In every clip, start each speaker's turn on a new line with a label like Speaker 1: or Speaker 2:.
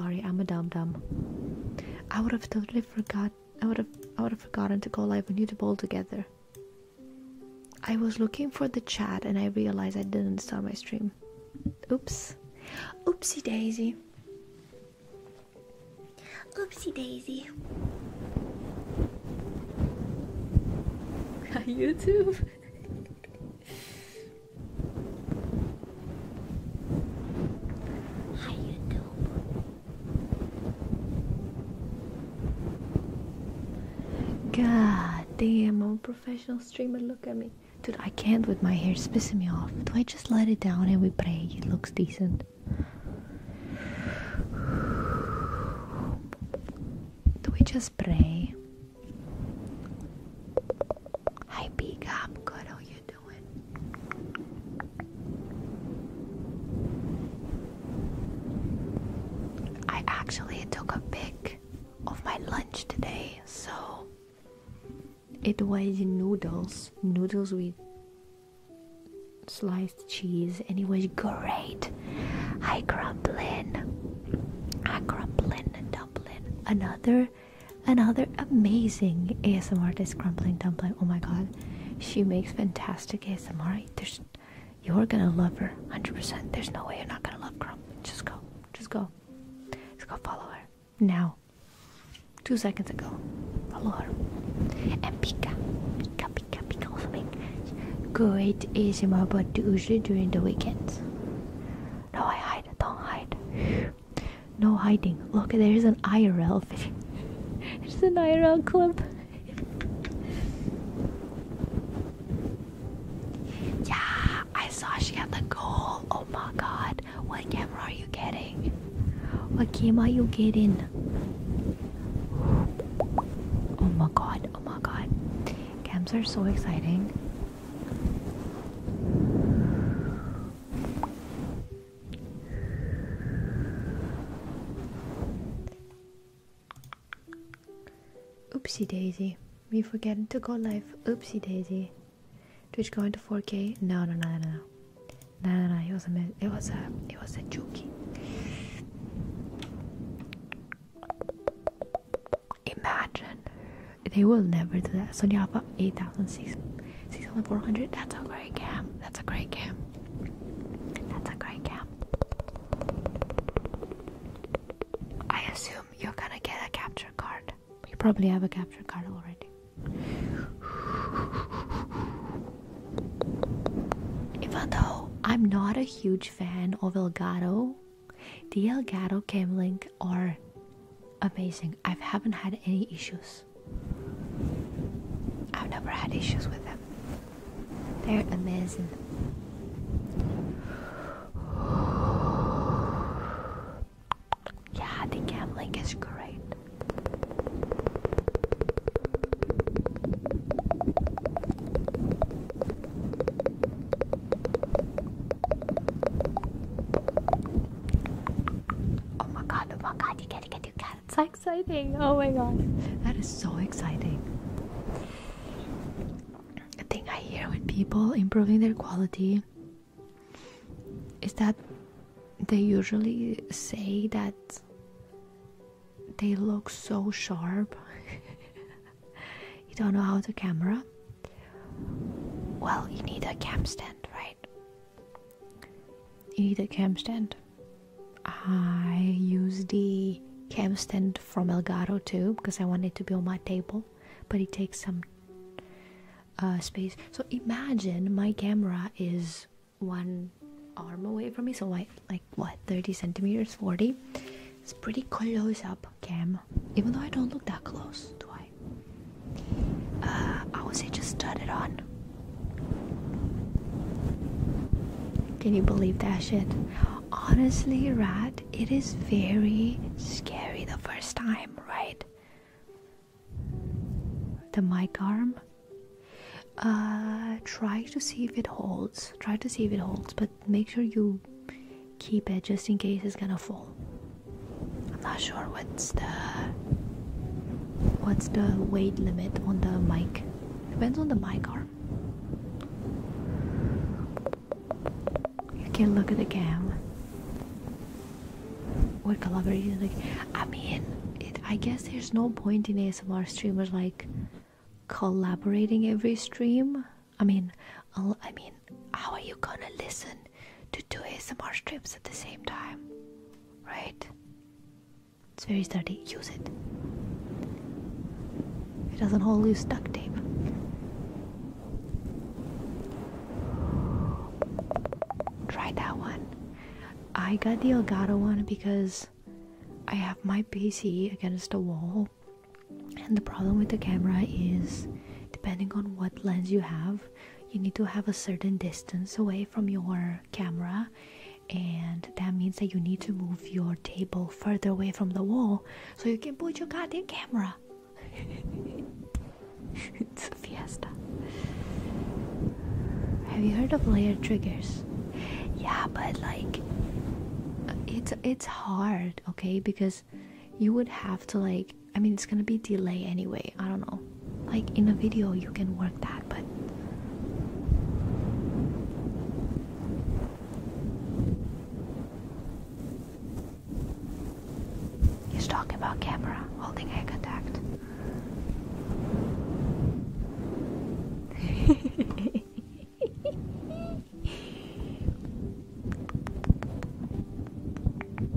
Speaker 1: Sorry, I'm a dum dum. I would have totally forgot. I would have. I would have forgotten to go live on YouTube together. I was looking for the chat and I realized I didn't start my stream. Oops. Oopsie daisy. Oopsie daisy. YouTube. Hi YouTube. God damn, I'm a professional streamer. Look at me. Dude, I can't with my hair. It's me off. Do I just let it down and we pray it looks decent? Do we just pray? Hi, big. i good. Oh, you I actually took a pic of my lunch today, so it was noodles, noodles with sliced cheese, and it was great. I crumplin, I crumplin and dumpling. Another Another amazing ASMR artist, Crumpling Dumpling. Oh my god, she makes fantastic ASMR. There's, you're gonna love her 100%. There's no way you're not gonna love Crumpling. Just go, just go, just go follow her now. Two seconds ago, follow her. And Pika, Pika, Pika, Pika also makes great ASMR, but usually during the weekends. No, I hide. Don't hide. No hiding. Look, there's an IRL It's an IRL clip. yeah, I saw she had the goal. Oh my god. What camera are you getting? What camera are you getting? Oh my god, oh my god. Cams are so exciting. Oopsie daisy, we forget to go live. Oopsie daisy, Twitch going to 4K? No, no, no, no, no, no, no, no. It was a, it was a, it was a joke. Imagine they will never do that. Sonya Alpha 8,600. That's a great camp. That's a great camp. That's a great camp. I assume you're gonna get a capture card. You probably have a capture card already. Even though I'm not a huge fan of Elgato, the Elgato Camlink or amazing. I haven't had any issues. I've never had issues with them. They're amazing. Yeah, the gambling is great. Oh my god, oh my god, you it, you get your cat. It's so exciting. Oh my god. That is so exciting. A thing I hear with people improving their quality is that they usually say that they look so sharp. you don't know how to camera? Well, you need a cam stand, right? You need a cam stand. I use the cam stand from Elgato too because I want it to be on my table, but it takes some uh, space. So imagine my camera is one arm away from me, so like what 30 centimeters, 40. It's pretty close up cam, even though I don't look that close, do I? Uh, I would just turn it on. Can you believe that shit? Honestly, Rat, it is very scary the first time, right? The mic arm. Uh, try to see if it holds. Try to see if it holds, but make sure you keep it just in case it's gonna fall. I'm not sure what's the what's the weight limit on the mic. Depends on the mic arm. You can look at the cam. What collaboration? Like, I mean, I guess there's no point in ASMR streamers like collaborating every stream. I mean, I mean, how are you gonna listen to do ASMR strips at the same time, right? It's very sturdy. Use it. It doesn't hold loose duct tape. Try that one. I got the Elgato one because I have my PC against the wall, and the problem with the camera is depending on what lens you have, you need to have a certain distance away from your camera and that means that you need to move your table further away from the wall so you can put your goddamn camera it's a fiesta have you heard of layer triggers yeah but like it's it's hard okay because you would have to like I mean, it's gonna be delay anyway. I don't know. Like in a video, you can work that, but he's talking about camera holding eye contact.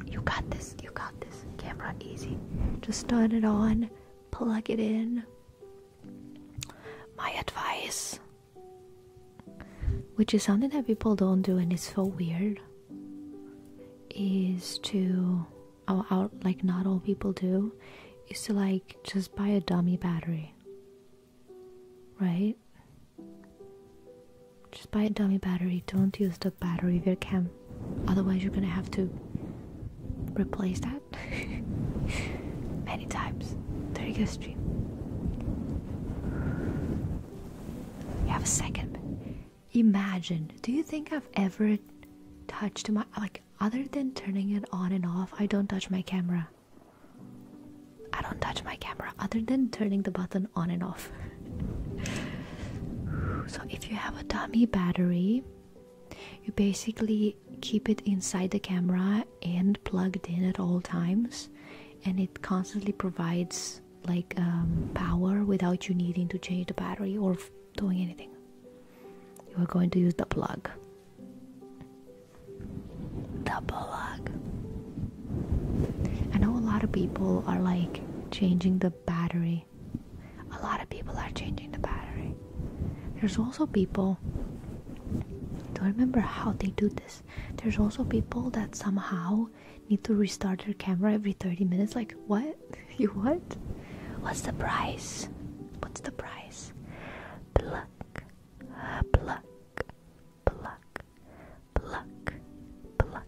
Speaker 1: you got this. You got this camera easy. Just turn it on, plug it in. My advice, which is something that people don't do and it's so weird, is to, oh, like not all people do, is to like just buy a dummy battery. Right? Just buy a dummy battery, don't use the battery of your cam. otherwise you're gonna have to replace that many times during your stream. You have a second. Imagine, do you think I've ever touched my, like, other than turning it on and off, I don't touch my camera. I don't touch my camera other than turning the button on and off so if you have a dummy battery you basically keep it inside the camera and plugged in at all times and it constantly provides like um, power without you needing to change the battery or doing anything you are going to use the plug
Speaker 2: the plug
Speaker 1: i know a lot of people are like changing the battery a lot of people are changing the battery. There's also people, don't remember how they do this. There's also people that somehow need to restart their camera every 30 minutes. Like, what? you what? What's the price? What's the price? Pluck, pluck, pluck, pluck, pluck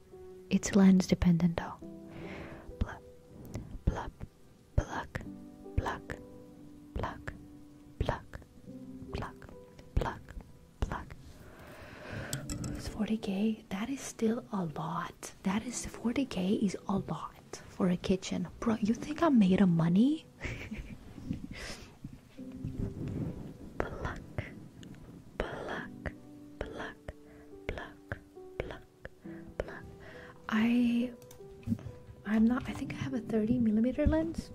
Speaker 1: it's lens dependent though. Pluck, pluck, pluck, pluck, pluck, pluck, pluck, pluck, pluck. It's 40k. That is still a lot. That is 40k is a lot for a kitchen. Bro, you think I'm made of money? pluck, pluck, pluck, pluck, pluck, pluck, I, I'm not. I think I have a 30 millimeter lens.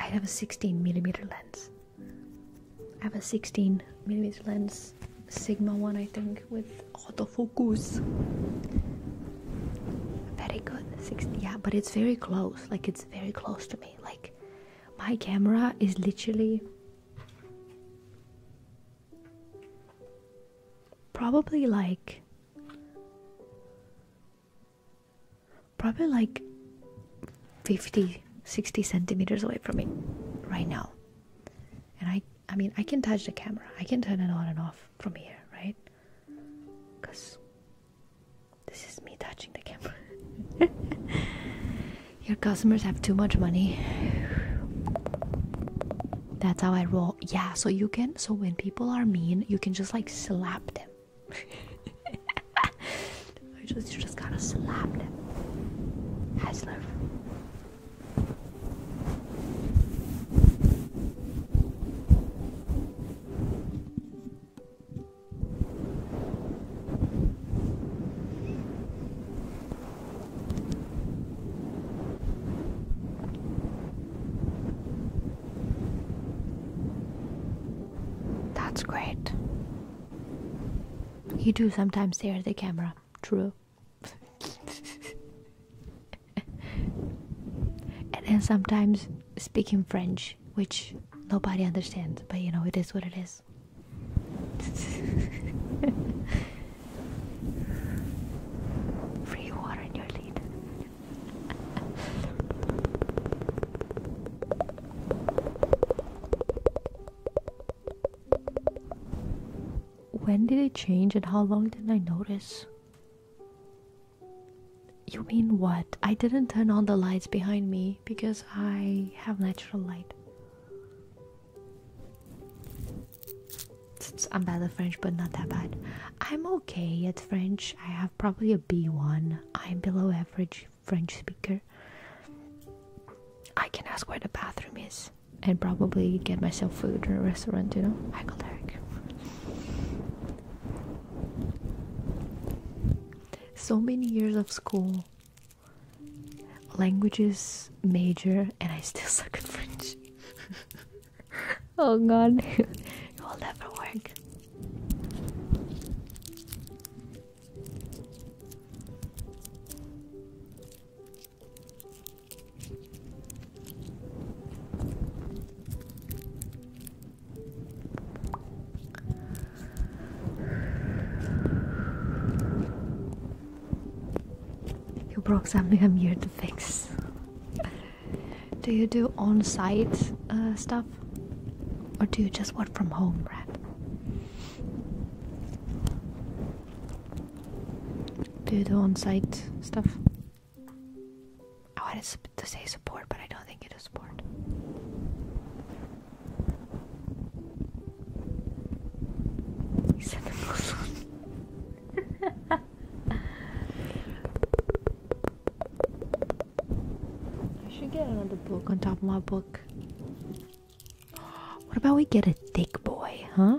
Speaker 1: I have a 16 millimeter lens. I have a 16 millimeter lens, Sigma one, I think, with autofocus. Very good. 16. Yeah, but it's very close. Like it's very close to me. Like my camera is literally probably like probably like 50 60 centimeters away from me right now and i i mean i can touch the camera i can turn it on and off from here right because this is me touching the camera. Your customers have too much money. That's how I roll. Yeah, so you can, so when people are mean, you can just like slap them. you, just, just gotta slap them. That's great. You do sometimes stare at the camera, true. and then sometimes speaking French which nobody understands, but you know, it is what it is. Free water in your lead. when did it change and how long didn't I notice? You mean what? I didn't turn on the lights behind me because I have natural light. I'm bad at French, but not that bad. I'm okay at French. I have probably a B1. I'm below average French speaker. I can ask where the bathroom is and probably get myself food in a restaurant, you know? I'm So many years of school know languages major and I still suck at French. oh god, You broke something, I'm here to fix. do you do on site uh, stuff? Or do you just work from home, Do you do on site stuff? I wanted to say support, but I don't think you do support. He's in Muslim. I should get another book on top of my book. What about we get a thick boy, huh?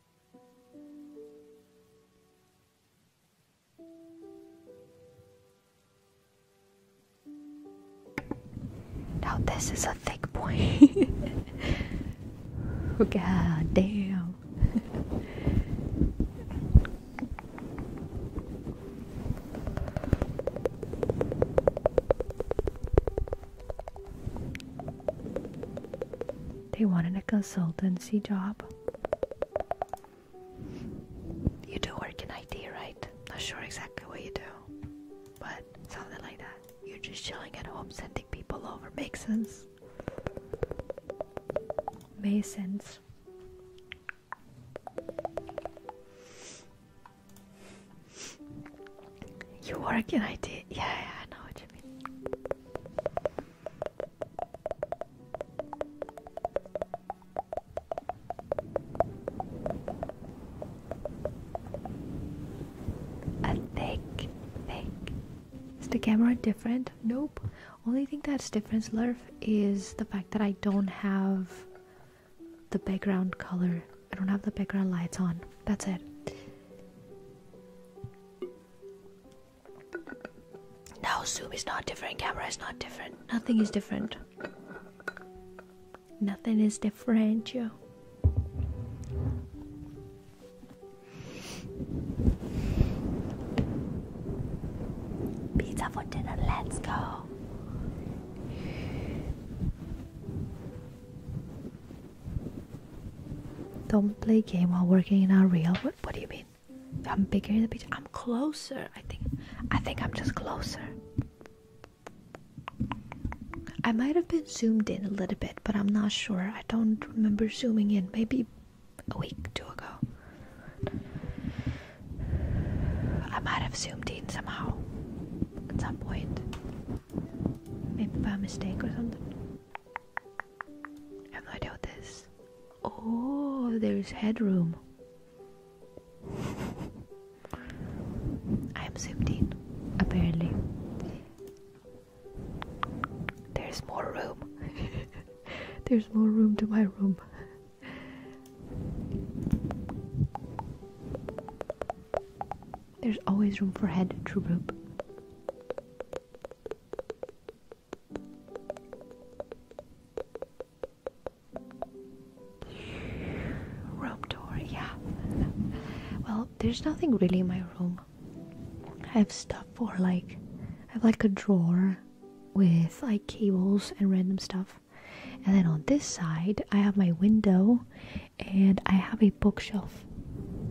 Speaker 1: Now this is a thick point. God damn. They wanted a consultancy job. You do work in IT, right? Not sure exactly what you do, but something like that. You're just chilling at home, sending people over. Makes sense. Makes sense. You work in IT. Yeah, I know what you baby. A thick, Is the camera different? Nope. Only thing that's different, Slurf, is the fact that I don't have the background color. I don't have the background lights on. That's it. Now zoom is not different, camera is not different. Nothing is different. Nothing is different, yo. Pizza for dinner, let's go. Don't play game while working in our real. What, what do you mean? I'm bigger in the picture. I'm closer. I think. I think I'm just closer. I might have been zoomed in a little bit, but I'm not sure. I don't remember zooming in. Maybe a week, two ago. I might have zoomed in somehow at some point. Maybe by mistake or something.
Speaker 2: I
Speaker 1: have no idea what this Oh, there's headroom. I'm zoomed in, apparently. There's more room. there's more room to my room. There's always room for head, true roop. Room tour, yeah. well, there's nothing really in my room. I have stuff for like, I have like a drawer with like cables and random stuff. And then on this side, I have my window and I have a bookshelf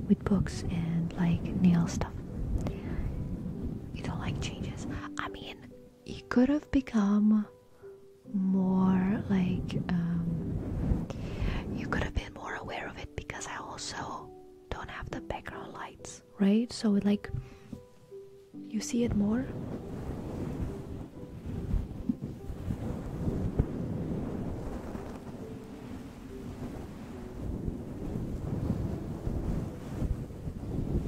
Speaker 1: with books and like nail stuff. You don't like changes. I mean, it could have become more like um, you could have been more aware of it because I also don't have the background lights, right? So like you see it more.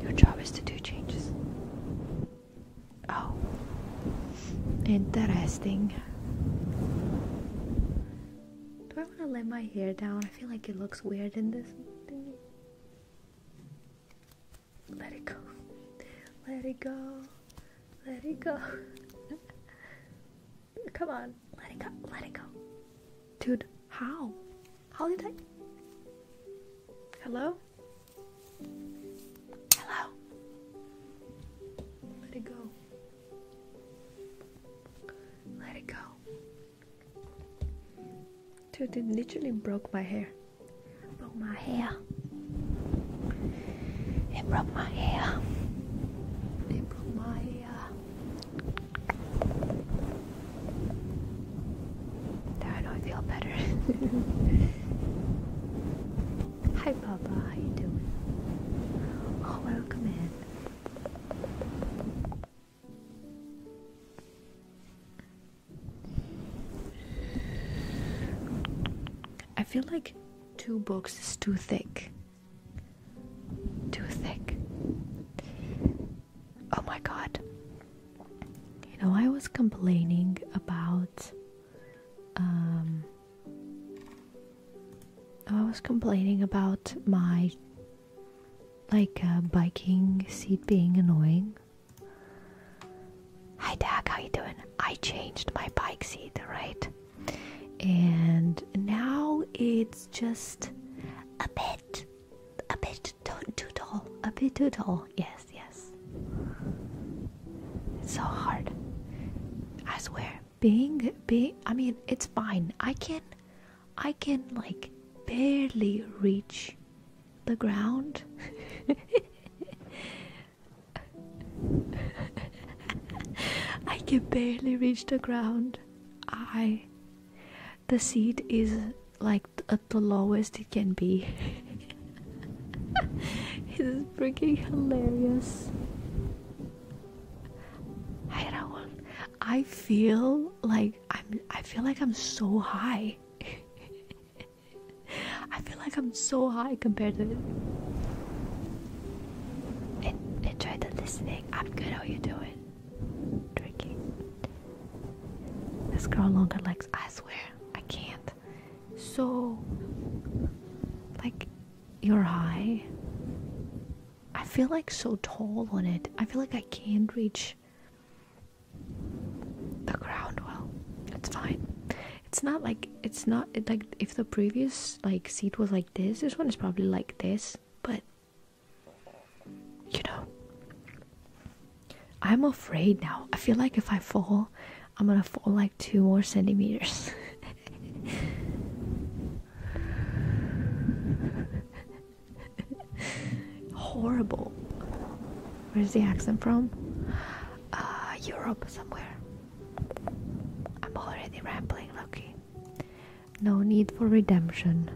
Speaker 1: Your job is to do changes. Oh, interesting. Do I want to let my hair down? I feel like it looks weird in this Let it go. Let it go. Let it go. Come on, let it go, let it go. Dude, how? How did I? Hello? Hello? Let it go. Let it go. Dude, it literally broke my hair. broke my hair. It broke my hair. It broke my hair. There, I feel better. Hi, Papa. How you doing? Oh, welcome in. I feel like two books is too thick.
Speaker 2: Too thick.
Speaker 1: Oh my god. You know, I was complaining about. Um, I was complaining about my like uh, biking seat being annoying. Hi Dag, how you doing? I changed my bike seat, right? and now it's just a bit a bit too tall a bit too tall yes yes it's so hard i swear being being i mean it's fine i can i can like barely reach the ground i can barely reach the ground I the seat is like at the lowest it can be. it is freaking hilarious. Hi Raul. I feel like I'm I feel like I'm so high. I feel like I'm so high compared to it. And enjoy the listening. I'm good. How you doing? Drinking. This girl longer legs. I swear, I can't. So, like, you're high. I feel like so tall on it. I feel like I can't reach the ground well. It's fine. It's not like it's not like if the previous like seat was like this. This one is probably like this but you know, I'm afraid now. I feel like if I fall, I'm gonna fall like two more centimeters. Horrible. Where's the accent from? Uh, Europe somewhere. I'm already rambling, Loki. No need for redemption.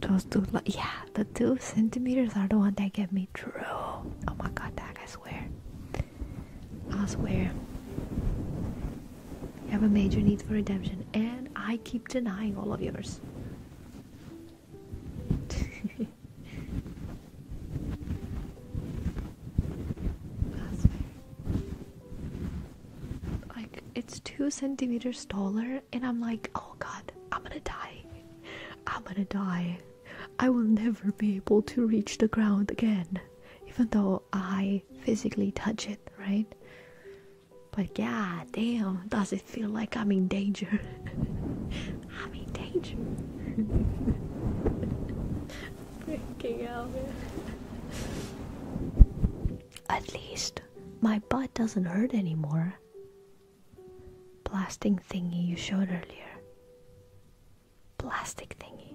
Speaker 1: Those two, like, yeah, the two centimeters are the ones that get me through. Oh my god, that I swear. I swear. You have a major need for redemption, and I keep denying all of yours. Like, it's two centimeters taller, and I'm like, oh god, I'm gonna die. I'm gonna die. I will never be able to reach the ground again, even though I physically touch it, right? But god damn, does it feel like I'm in danger? I'm in danger. Freaking out, At least my butt doesn't hurt anymore. Blasting thingy you showed earlier. Plastic thingy.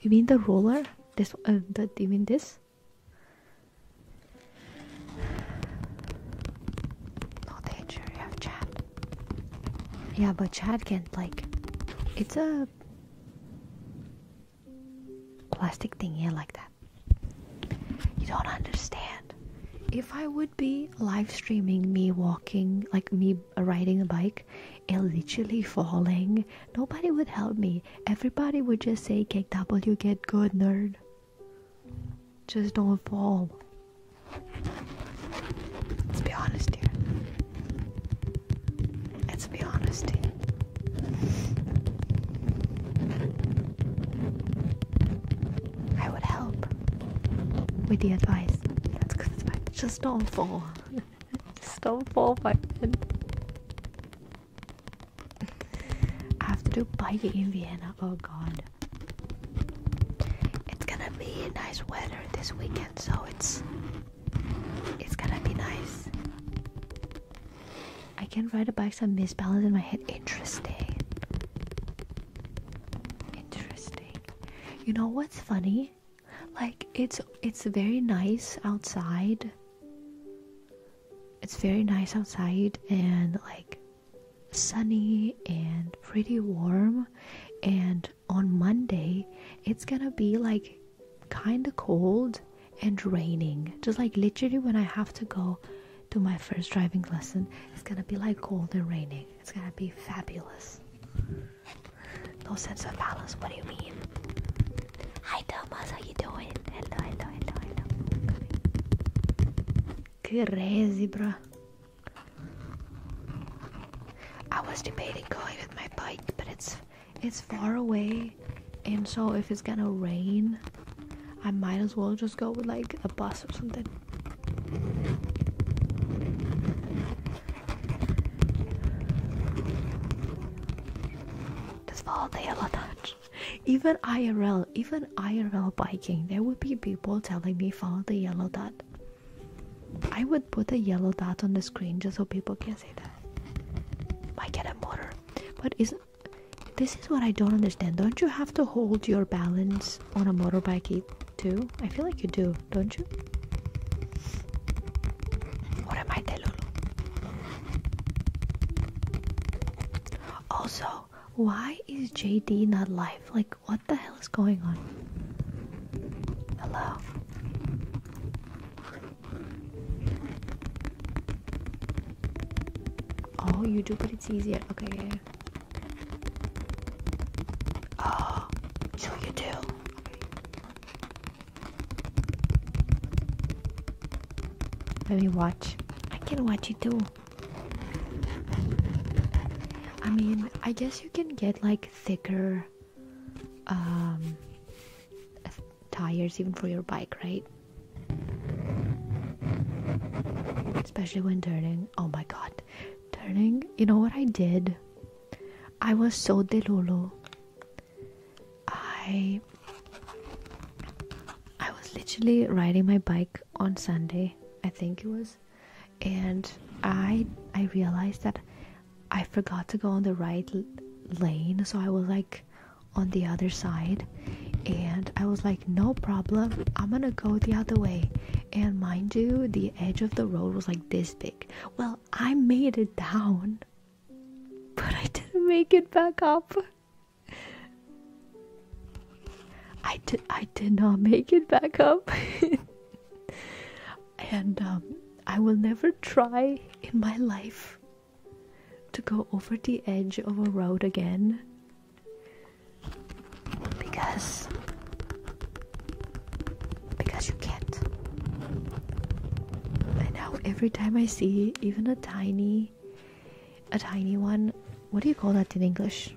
Speaker 1: You mean the roller? This? Uh, the, you mean this? No danger, you have Chad. Yeah, but Chad can't, like, it's a plastic thing here like that. You don't understand. If I would be live streaming me walking, like me riding a bike, and falling Nobody would help me. Everybody would just say, KW, get good, nerd. Just don't fall. Let's be honest here. Let's be honest here. I would help with the advice. That's good advice. Just don't fall. Just don't fall, my friend. I have to do biking in Vienna. Oh god. It's gonna be nice weather this weekend, so it's it's gonna be nice. I can ride a bike so I misbalance in my head. Interesting. Interesting. You know what's funny? Like it's it's very nice outside it's very nice outside and like sunny and pretty warm and on Monday it's gonna be like kinda cold and raining just like literally when I have to go to my first driving lesson it's gonna be like cold and raining it's gonna be fabulous no sense of balance what do you mean Hi Thomas, how you doing? Hello, hello, hello, hello. Crazy, bro. I was debating going with my bike, but it's it's far away, and so if it's gonna rain, I might as well just go with like a bus or something. This fall day a lot even IRL, even IRL biking, there would be people telling me follow the yellow dot. I would put a yellow dot on the screen just so people can see that. I get a motor, but is this is what I don't understand. Don't you have to hold your balance on a motorbike too? I feel like you do, don't you? What am I, Delulu? Also, why is JD not live? Like, what the hell is going on? Hello? Oh, you do, but it's easier.
Speaker 2: Okay, Oh, so you do.
Speaker 1: Let me watch. I can watch you too. I mean, I guess you can get like thicker um, tires even for your bike, right? Especially when turning. Oh my god. Turning. You know what I did? I was so delulu I I was literally riding my bike on Sunday, I think it was, and I I realized that I forgot to go on the right lane, so I was like on the other side and I was like no problem, I'm going to go the other way. And mind you, the edge of the road was like this big. Well, I made it down, but I didn't make it back up. I did I did not make it back up. and um, I will never try in my life to go over the edge of a road again because because you can't. And now every time I see even a tiny a tiny one. What do you call that in English?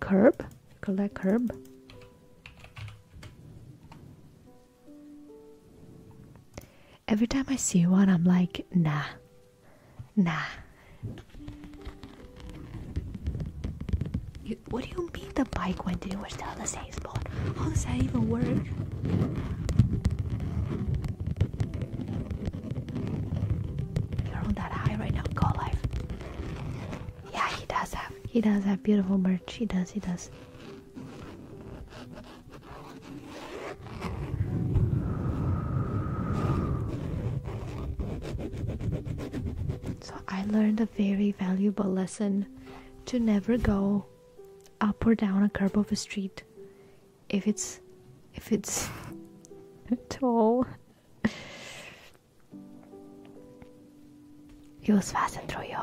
Speaker 1: Curb? Call that curb? Every time I see one, I'm like, nah, nah what do you mean the bike went in? We're still the same spot. How does that even work? You're on that high right now. Go live. Yeah, he does have. He does have beautiful merch. He does. He does. So I learned a very valuable lesson to never go up or down a curb of a street if it's if it's tall. you was fast and throw you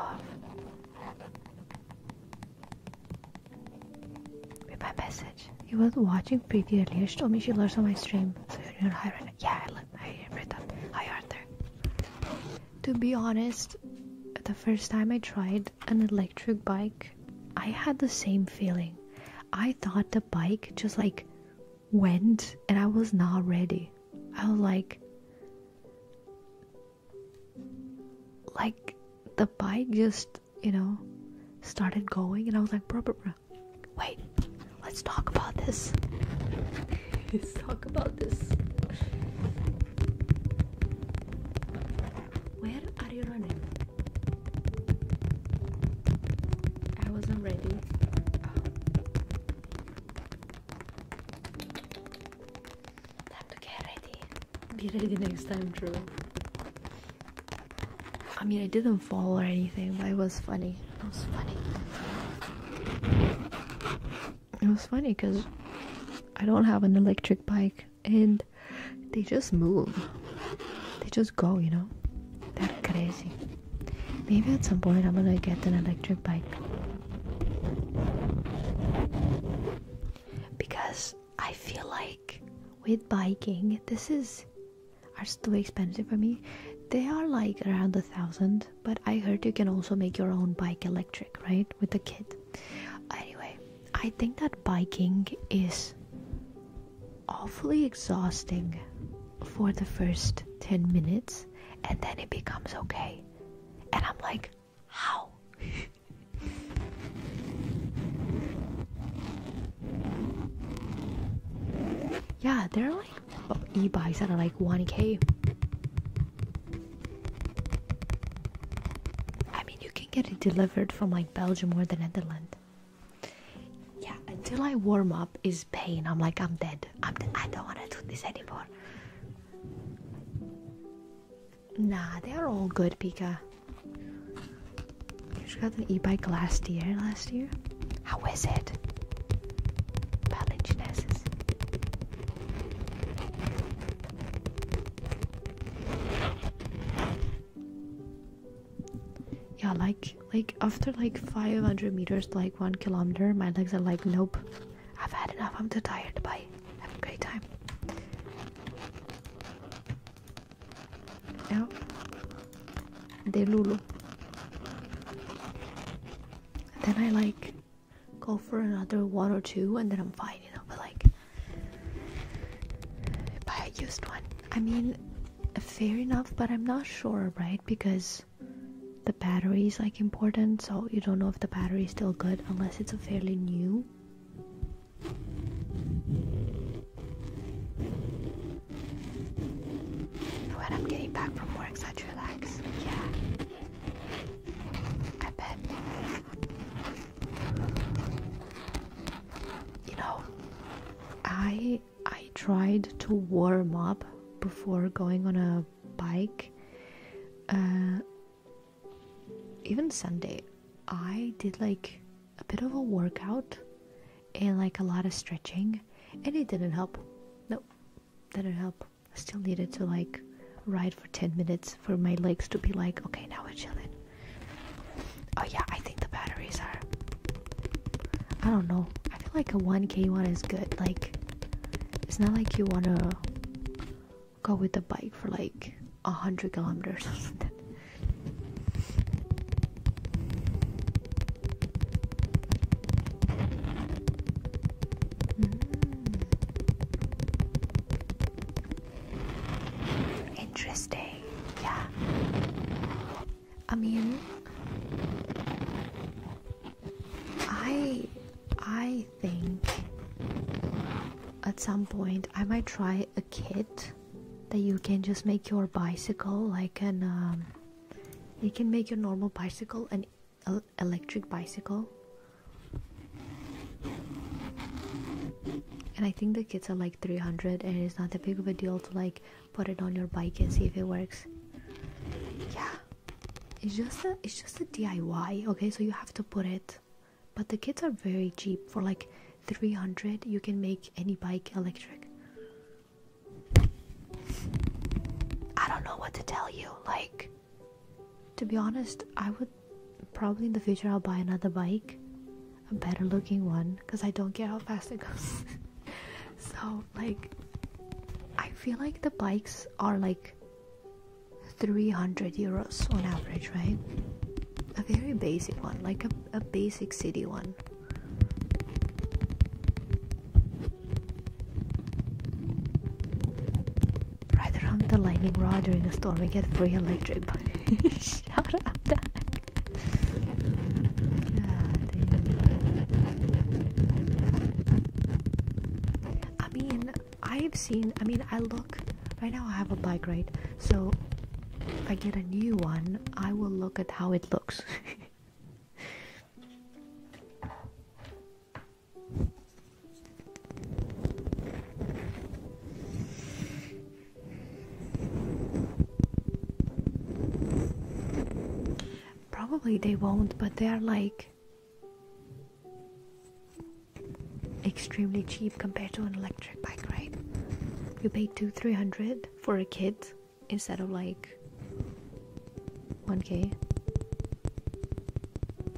Speaker 1: Read my message. You were watching previously. earlier. She told me she learns on my stream, so you're not high right now. Yeah, I, read up. Hi, Arthur. To be honest, the first time I tried an electric bike, I had the same feeling. I thought the bike just like went and I was not ready. I was like, like the bike just, you know, started going and I was like, bro, bro, Wait, let's talk about this. let's talk about this. Where are you running? I wasn't ready. Oh. to get ready. Be ready next time, Drew. I mean, I didn't fall or anything, but it was funny. It was funny. It was funny because I don't have an electric bike and they just move. They just go, you know? They're crazy. Maybe at some point I'm gonna get an electric bike. Because I feel like with biking, this is are too expensive for me. They are like around a thousand, but I heard you can also make your own bike electric, right? With a kit. Anyway, I think that biking is awfully exhausting for the first 10 minutes and then it becomes okay. And I'm like, how? yeah, there Oh, like e-bikes are like 1k. I mean, you can get it delivered from like Belgium or the Netherlands. Yeah, until I warm up is pain. I'm like, I'm dead. I'm I don't want to do this anymore. Nah, they are all good, Pika. You got an e-bike last year, last year? How is it? Palingenesis. Yeah, like like after like 500 meters like one kilometer, my legs are like, nope, I've had enough. I'm too tired. Bye. Have a great time. Now, the Lulu. Then I like go for another one or two and then I'm fine, you know. But like, but I used one. I mean, fair enough, but I'm not sure, right? Because the battery is like important, so you don't know if the battery is still good unless it's a fairly new. When I'm getting back from work, such relax. Yeah. I bet. You know, I I tried to warm up before going on a bike. Uh, even Sunday, I did like a bit of a workout and like a lot of stretching, and it didn't help. No, didn't help. still needed to like ride for 10 minutes for my legs to be like, okay, now we're chilling. Oh, yeah, I think the batteries are. I don't know. I feel like a 1k one is good. Like, it's not like you want to go with the bike for like 100 kilometers Mm. Interesting, yeah. I mean, I I think at some point I might try a kit that you can just make your bicycle like an um, you can make your normal bicycle and electric bicycle. And I think the kits are like 300 and it's not that big of a deal to like put it on your bike and see if it works. Yeah. It's just a it's just a DIY, okay? So you have to put it. But the kits are very cheap. For like 300, you can make any bike electric. I don't know what to tell you. Like, to be honest, I would probably in the future I'll buy another bike, a better looking one, because I don't care how fast it goes. so, like, I feel like the bikes are like 300 euros on average, right? A very basic one, like a, a basic city one. Right around the lightning rod during a storm, we get free electric. Shut up, I mean, I've seen. I mean, I look. Right now, I have a bike, right? So, if I get a new one, I will look at how it looks. Probably they won't, but they are like extremely cheap compared to an electric bike, right? You pay two, three hundred for a kid instead of like 1k.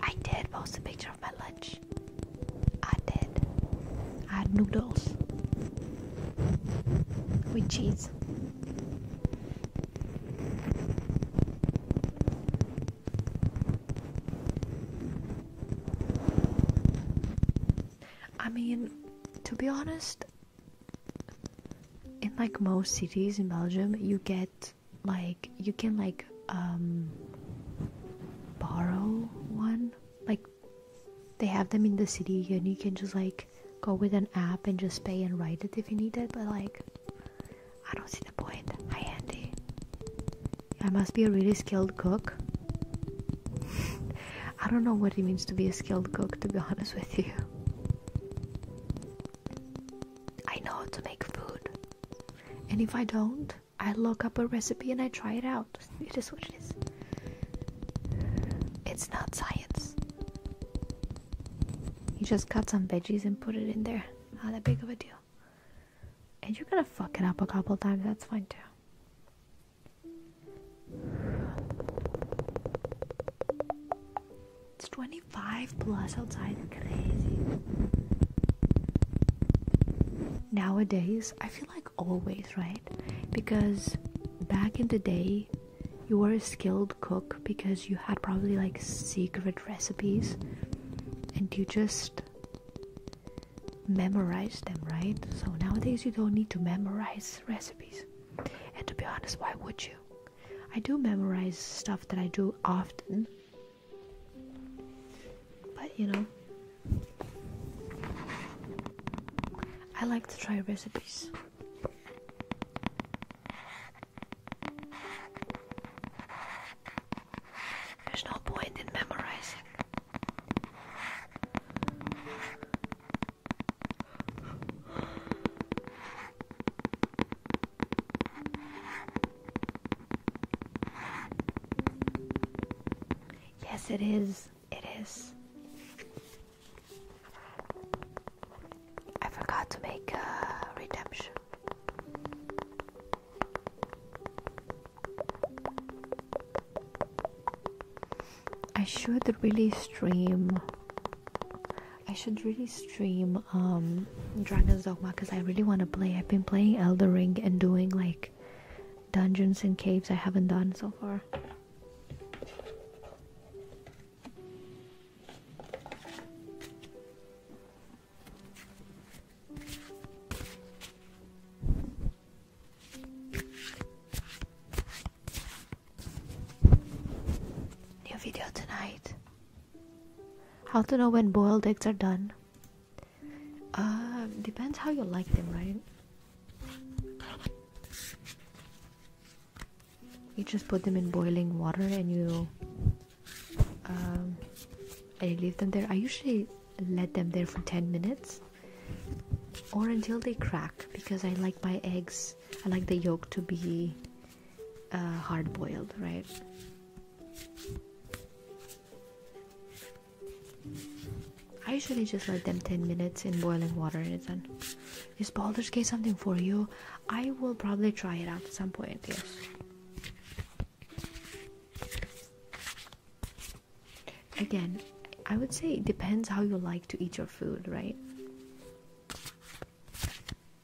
Speaker 1: I did post a picture of my lunch. I did. I had noodles with cheese. I mean, to be honest, in like most cities in Belgium, you get like you can like um, borrow one. Like they have them in the city and you can just like go with an app and just pay and write it if you need it, but like I don't see the point. Hi Andy. I must be a really skilled cook. I don't know what it means to be a skilled cook to be honest with you. I know how to make food. And if I don't, I look up a recipe and I try it out. It is what it is. It's not science. You just cut some veggies and put it in there. Not that big of a deal. And you're gonna fuck it up a couple times, that's fine too. It's 25 plus outside, crazy. Nowadays, I feel like always, right? Because back in the day, you were a skilled cook because you had probably like secret recipes and you just memorized them, right? So nowadays, you don't need to memorize recipes. And to be honest, why would you? I do memorize stuff that I do often, but you know, I like to try recipes. There's no point in memorizing. Yes, it is. It is. I forgot to make redemption. I should really stream I should really stream um, Dragon's Dogma because I really want to play. I've been playing Elder Ring and doing like dungeons and caves I haven't done so far. New video tonight. How to know when boiled eggs are done? Uh, depends how you like them, right? You just put them in boiling water and you um, and you leave them there. I usually let them there for 10 minutes or until they crack because I like my eggs, I like the yolk to be uh, hard boiled, right? I usually just let them 10 minutes in boiling water and it's done. Is Baldur's Gate something for you? I will probably try it out at some point, yes. Again, I would say it depends how you like to eat your food, right?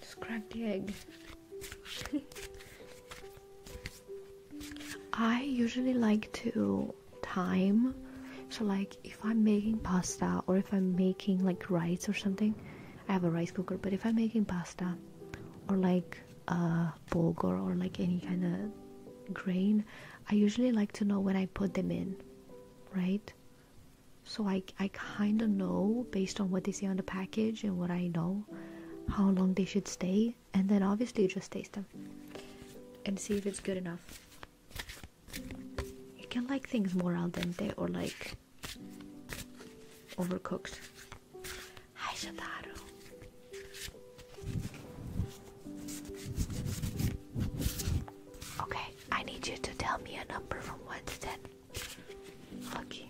Speaker 1: Just crack the egg. I usually like to time. So, like, if I'm making pasta or if I'm making like rice or something, I have a rice cooker. But if I'm making pasta or like a bulgur or like any kind of grain, I usually like to know when I put them in right? So I, I kind of know based on what they say on the package and what I know how long they should stay. And then obviously, just taste them and see if it's good enough. You can like things more al dente or like overcooked. Hi, Shataru. Okay, I need you to tell me a number from 1 to 10. Okay.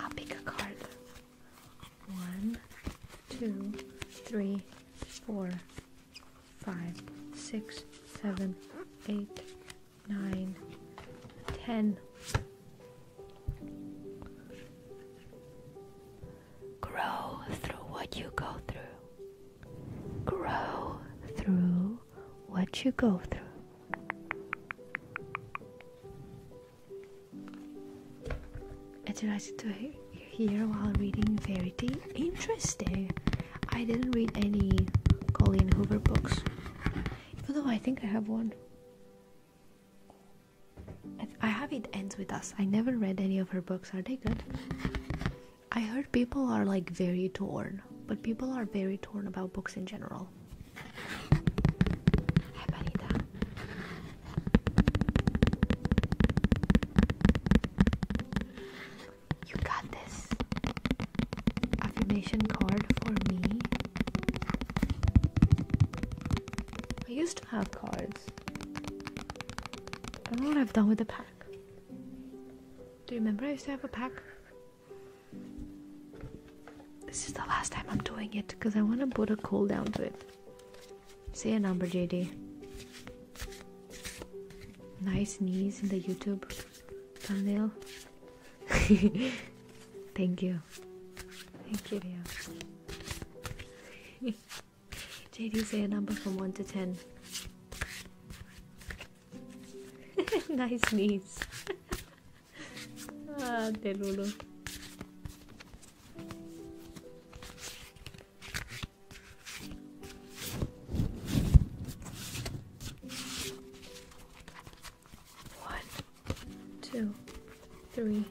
Speaker 2: I'll pick a card.
Speaker 1: One, two, three, four, five, six, seven, eight, nine, ten. Grow through what you go through. Grow through what you go through. I you like to hear while reading Verity? Interesting. I didn't read any Colleen Hoover books, even though I think I have one. I have It Ends With Us. I never read any of her books. Are they good? I heard people are like very torn, but people are very torn about books in general. Hi, Marita. You got this affirmation card for me I used to have cards. I don't know what I've done with the pack. Do you remember I used to have a pack? This is the last time I'm doing it because I want to put a cool down to it. Say a number, JD. Nice knees in the YouTube thumbnail. Thank you. Thank you, Rio. JD, say a number from 1 to 10. nice knees. ah, Delulu. One, two, three,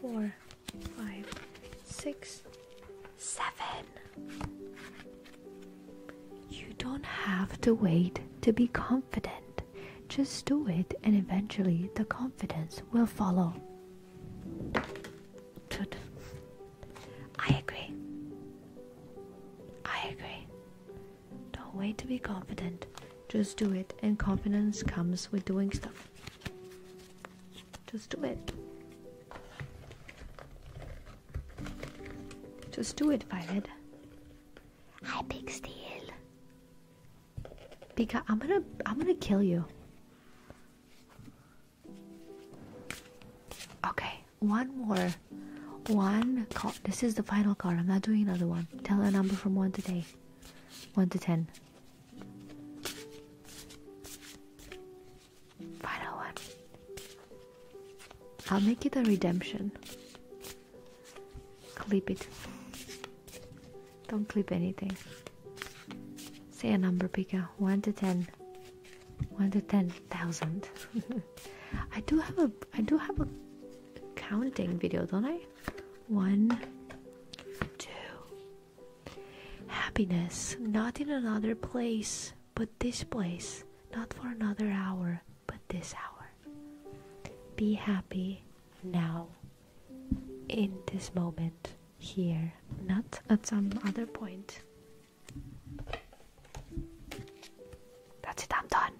Speaker 1: four, five, six, seven. You don't have to wait to be confident. Just do it, and eventually the confidence will follow. Good. I agree. I agree. Don't wait to be confident. Just do it, and confidence comes with doing stuff. Just do it. Just do it, Violet. Hi, Big Steel. Pika, I'm gonna, I'm gonna kill you. Okay, one more, one this is the final card. I'm not doing another one. Tell a number from one to ten. One to ten. Final one. I'll make it a redemption. Clip it. Don't clip anything. Say a number, Pika. One to ten. One to ten thousand. I do have a I do have a counting video, don't I? One, two. Happiness, not in another place, but this place. Not for another hour, but this hour. Be happy now, in this moment, here, not at some other point. That's it, I'm done.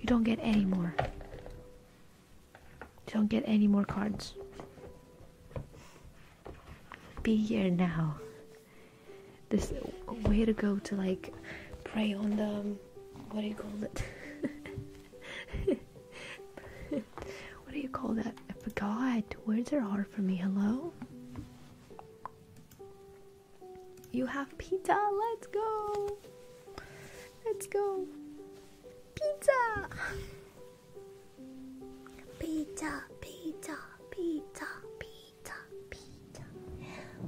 Speaker 1: You don't get any more. Don't get any more cards. Be here now. This way to go to like prey on the um, what do you call it? what do you call that? I forgot. Words are hard for me. Hello? You have pizza. Let's go. Let's go. Pizza. Pizza, pizza, pizza, pizza, pizza.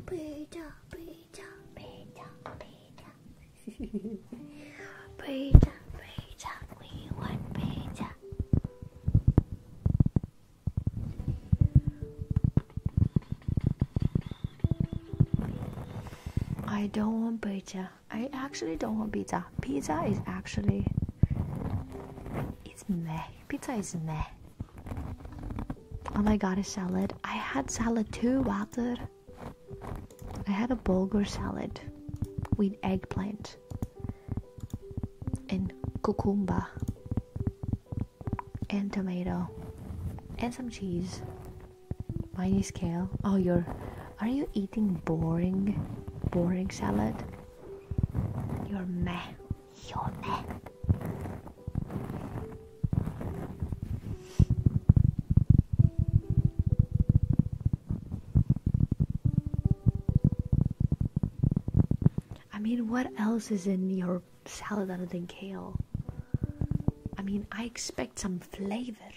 Speaker 1: Pizza, pizza, pizza, pizza.
Speaker 2: pizza, pizza, we want pizza.
Speaker 1: I don't want pizza. I actually don't want pizza. Pizza is actually it's meh. Pizza is meh. Oh my god, a salad. I had salad too, Walter. I had a burger salad with eggplant and cucumber and tomato and some cheese Mine is kale. Oh, you're. Are you eating boring, boring salad? You're meh. You're
Speaker 2: meh. I
Speaker 1: mean, what else is in your salad other than kale? I mean, I expect some flavor,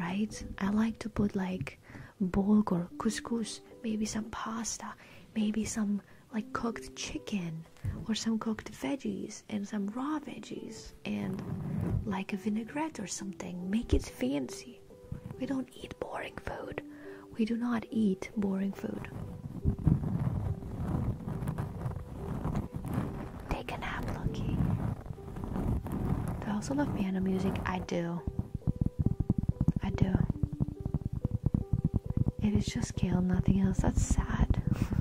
Speaker 1: right? I like to put like bulgur, couscous, maybe some pasta, maybe some like cooked chicken or some cooked veggies and some raw veggies and like a vinaigrette or something. Make it fancy. We don't eat boring food. We do not eat boring food. Take a nap, Lucky. They also love piano music? I do. I do. It is just kale, nothing else. That's sad.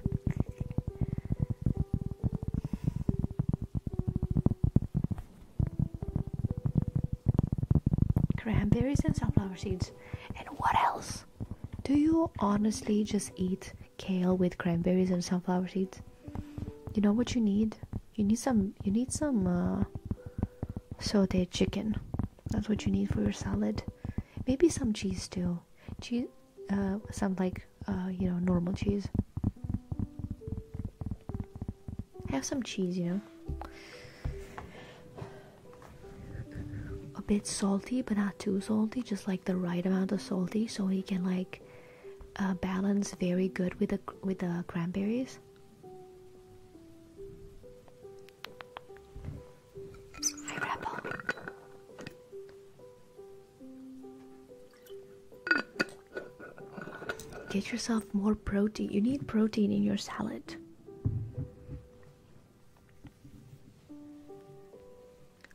Speaker 1: Cranberries and sunflower seeds. And what else? Do you honestly just eat kale with cranberries and sunflower seeds. You know what you need? You need some. You need some uh, sautéed chicken. That's what you need for your salad. Maybe some cheese too. Cheese, uh, some like uh, you know normal cheese. Have some cheese, you know. A bit salty, but not too salty. Just like the right amount of salty so he can like uh, balance very good with the with the cranberries Get yourself more protein. You need protein in your salad.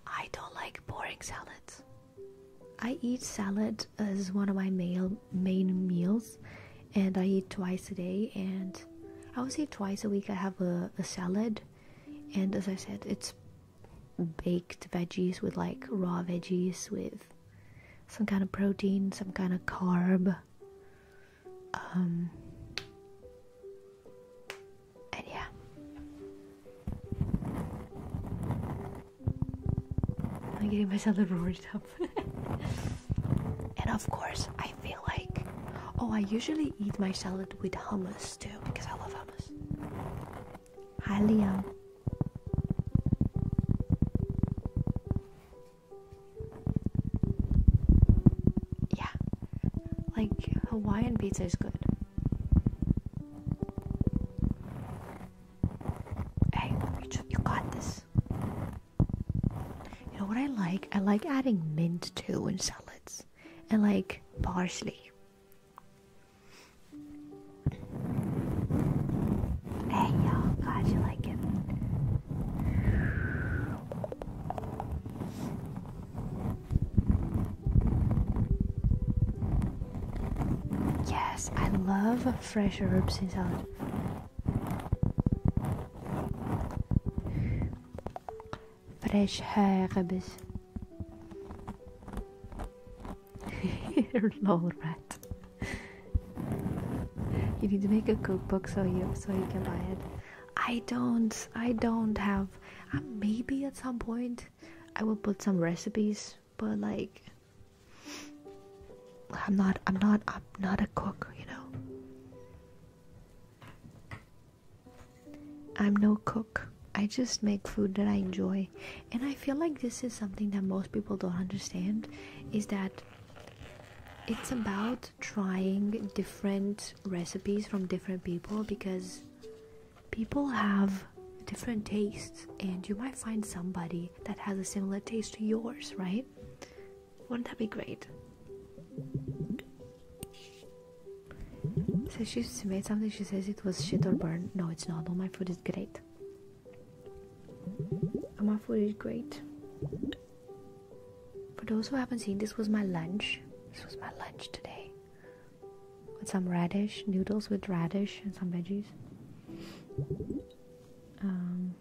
Speaker 1: I don't like boring salads. I eat salad as one of my main meals, and I eat twice a day. And I would say twice a week I have a, salad, and as I said, it's baked veggies with like raw veggies with some kind of protein, some kind of carb. Um, and yeah. I'm getting myself a roared up. and of course, I feel like. Oh, I usually eat my salad with hummus too because I love hummus. Hi, Liam. Yeah, like Hawaiian pizza is good. Hey, you, got this. You know what I like? I like adding mint to in salads and like parsley. Hey, y'all, glad you like it. Yes, I love fresh herbs in salad. Fresh herbs. You're Lol rat. You need to make a cookbook so you so you can buy it. I don't. I don't have. Uh, maybe at some point I will put some recipes, but like I'm not I'm not I'm not a cook, you know. I'm no cook. I just make food that I enjoy. And I feel like this is something that most people don't understand is that it's about trying different recipes from different people because people have different tastes, and you might find somebody that has a similar taste to yours, right? Wouldn't that be great? So she made something, she says it was shit or burn. No, it's not. All my food is great. All my food is great. For those who haven't seen, this was my lunch. This was my lunch today with some radish, noodles with radish and some veggies. Um,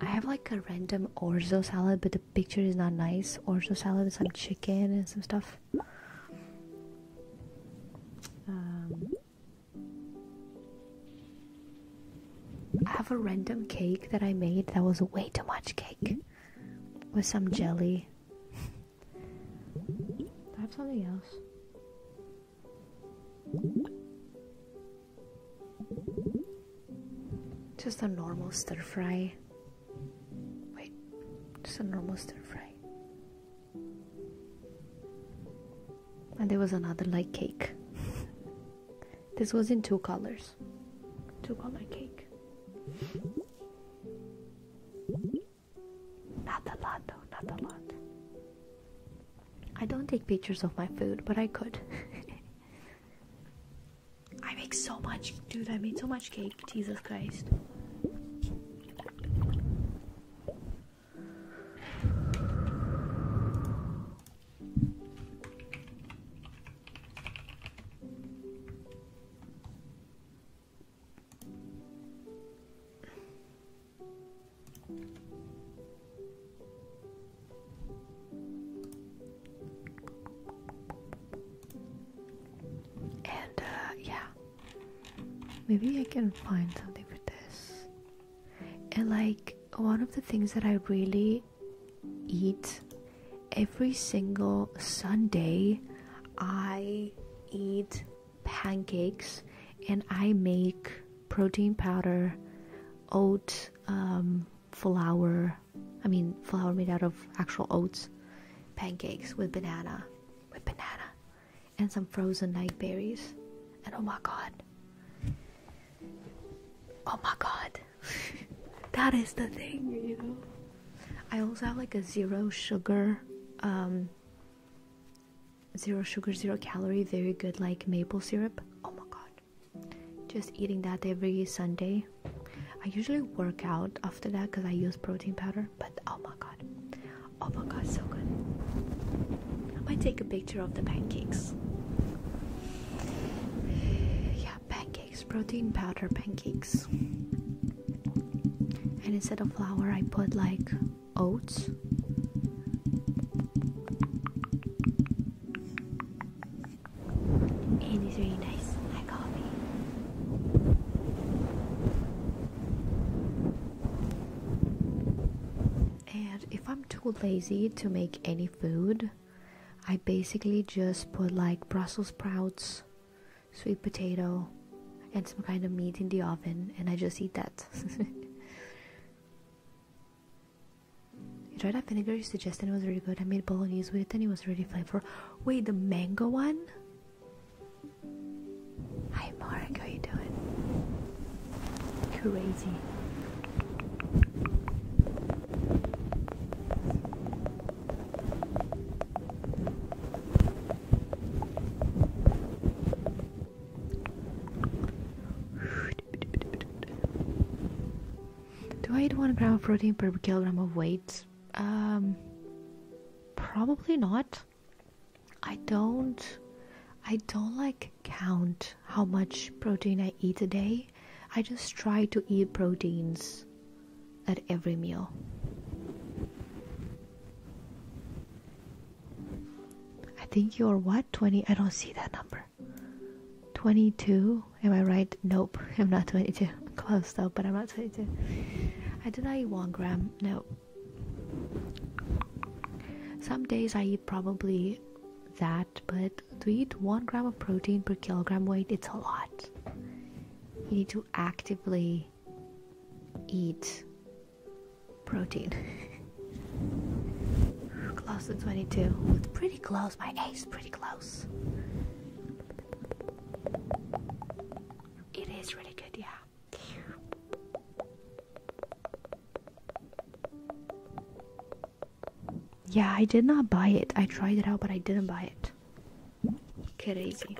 Speaker 1: I have like a random orzo salad, but the picture is not nice. Orzo salad with some chicken and some stuff. Um, I have a random cake that I made that was way too much cake with some jelly. I have something else? Just a normal stir fry. Wait, just a normal stir fry. And there was another light cake. This was in two colors. Two color cake. Not a lot though, not a lot. I don't take pictures of my food, but I could. I make so much, dude, I made so much cake, Jesus Christ. And uh, yeah, maybe I can find something for this. And like one of the things that I really eat every single Sunday. I eat pancakes and I make protein powder, oat um, flour, I mean, flour made out of actual oats, pancakes with banana, with banana, and some frozen night berries. And oh my god, oh my god, that is the thing, you know. I also have like a zero sugar, um, zero sugar, zero calorie, very good like maple syrup. Oh my god. Just eating that every Sunday. I usually work out after that because I use protein powder, but oh my god. Oh my god, so good. I might take a picture of the pancakes. Yeah, pancakes protein powder pancakes. And instead of flour, I put like oats. it's really nice. I copy. And if I'm too lazy to make any food, I basically just put like Brussels sprouts, sweet potato, and some kind of meat in the oven, and I just eat that. you tried that vinegar you suggested, it was really good. I made bolognese with it, and it was really flavorful. Wait, the mango one? Hi, Mark, how you doing? Crazy. Do I eat one gram of protein per kilogram of weight? Um, probably not. I don't. I don't like count how much protein I eat a day. I just try to eat proteins at every meal. I think you're what? 20? I don't see that number. 22? Am I right? Nope, I'm not 22. Close though, but I'm not 22. I do not eat one gram. No. Some days I eat probably that, but to eat one gram of protein per kilogram weight, it's a lot you need to actively eat protein. close to 22. It's Pretty close, my age is pretty close. It is really good, yeah. Yeah, I did not buy it. I tried it out, but I didn't buy it. Crazy.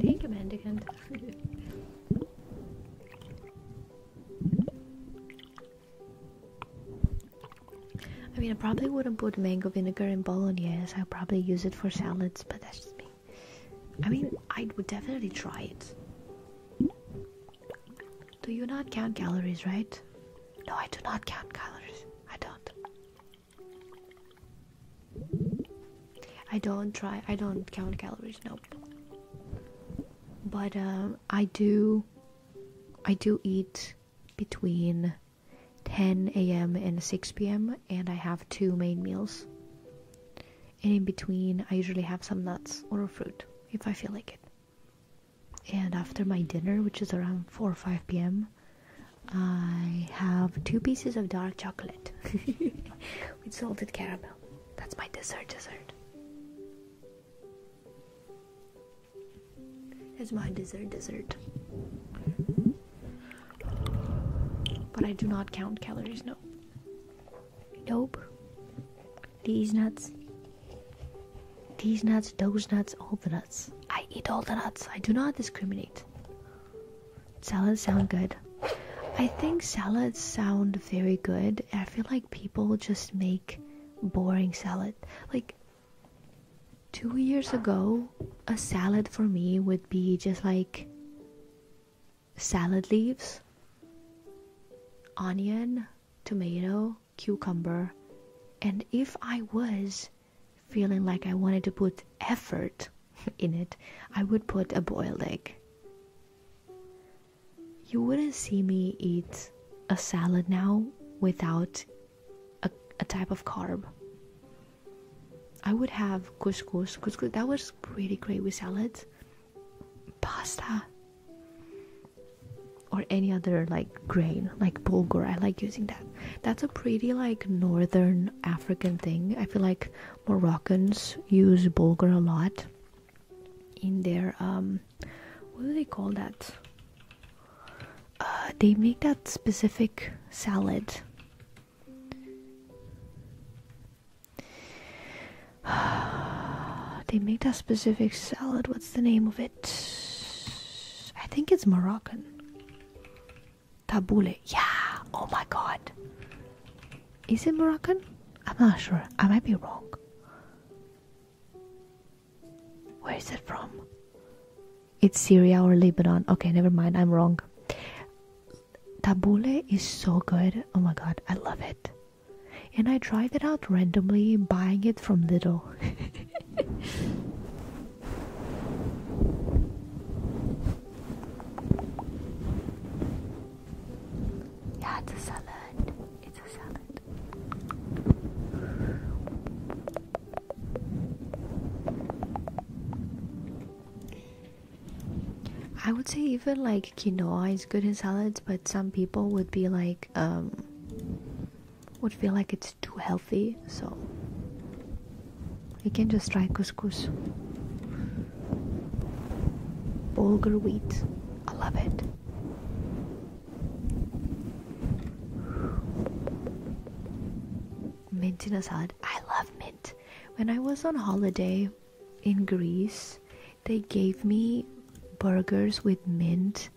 Speaker 1: Take a I mean, I probably wouldn't put mango vinegar in bolognese. i probably use it for salads, but that's just me. I mean, I would definitely try it. Do you not count calories, right? No, I do not count calories. I don't. I don't try. I don't count calories. No. But um, I do, I do eat between 10 a.m. and 6 p.m. and I have two main meals. And in between, I usually have some nuts or fruit if I feel like it. And after my dinner, which is around 4 or 5 p.m., I have two pieces of dark chocolate with salted caramel. That's my dessert dessert. It's my dessert dessert. But I do not count calories, no. Nope. These nuts. These nuts, those nuts, all the nuts. I eat all the nuts. I do not discriminate. Salads sound good. I think salads sound very good. I feel like people just make boring salad. Like two years ago, a salad for me would be just like salad leaves, onion, tomato, cucumber, and if I was feeling like I wanted to put effort in it, I would put a boiled egg you wouldn't see me eat a salad now without a, type of carb. I would have couscous, couscous that was pretty great with salads, pasta, or any other like grain like bulgur. I like using that. That's a pretty like northern African thing. I feel like Moroccans use bulgur a lot in their um, what do they call that uh, they make that specific salad they make that specific salad what's the name of it i think it's moroccan tabbouleh yeah oh my god is it moroccan i'm not sure i might be wrong where is it from? It's Syria or Lebanon. Okay, never mind. I'm wrong. Tabule is so good. Oh my god, I love it. And I tried it out randomly buying it from little. yeah, it's salad.
Speaker 2: It's a salad. I would
Speaker 1: say even like quinoa is good in salads, but some people would be like, um, would feel like it's too healthy, so you can just try couscous. Bulgur wheat, I love it. Mint in a salad. I love mint. When I was on holiday in Greece, they gave me burgers with mint,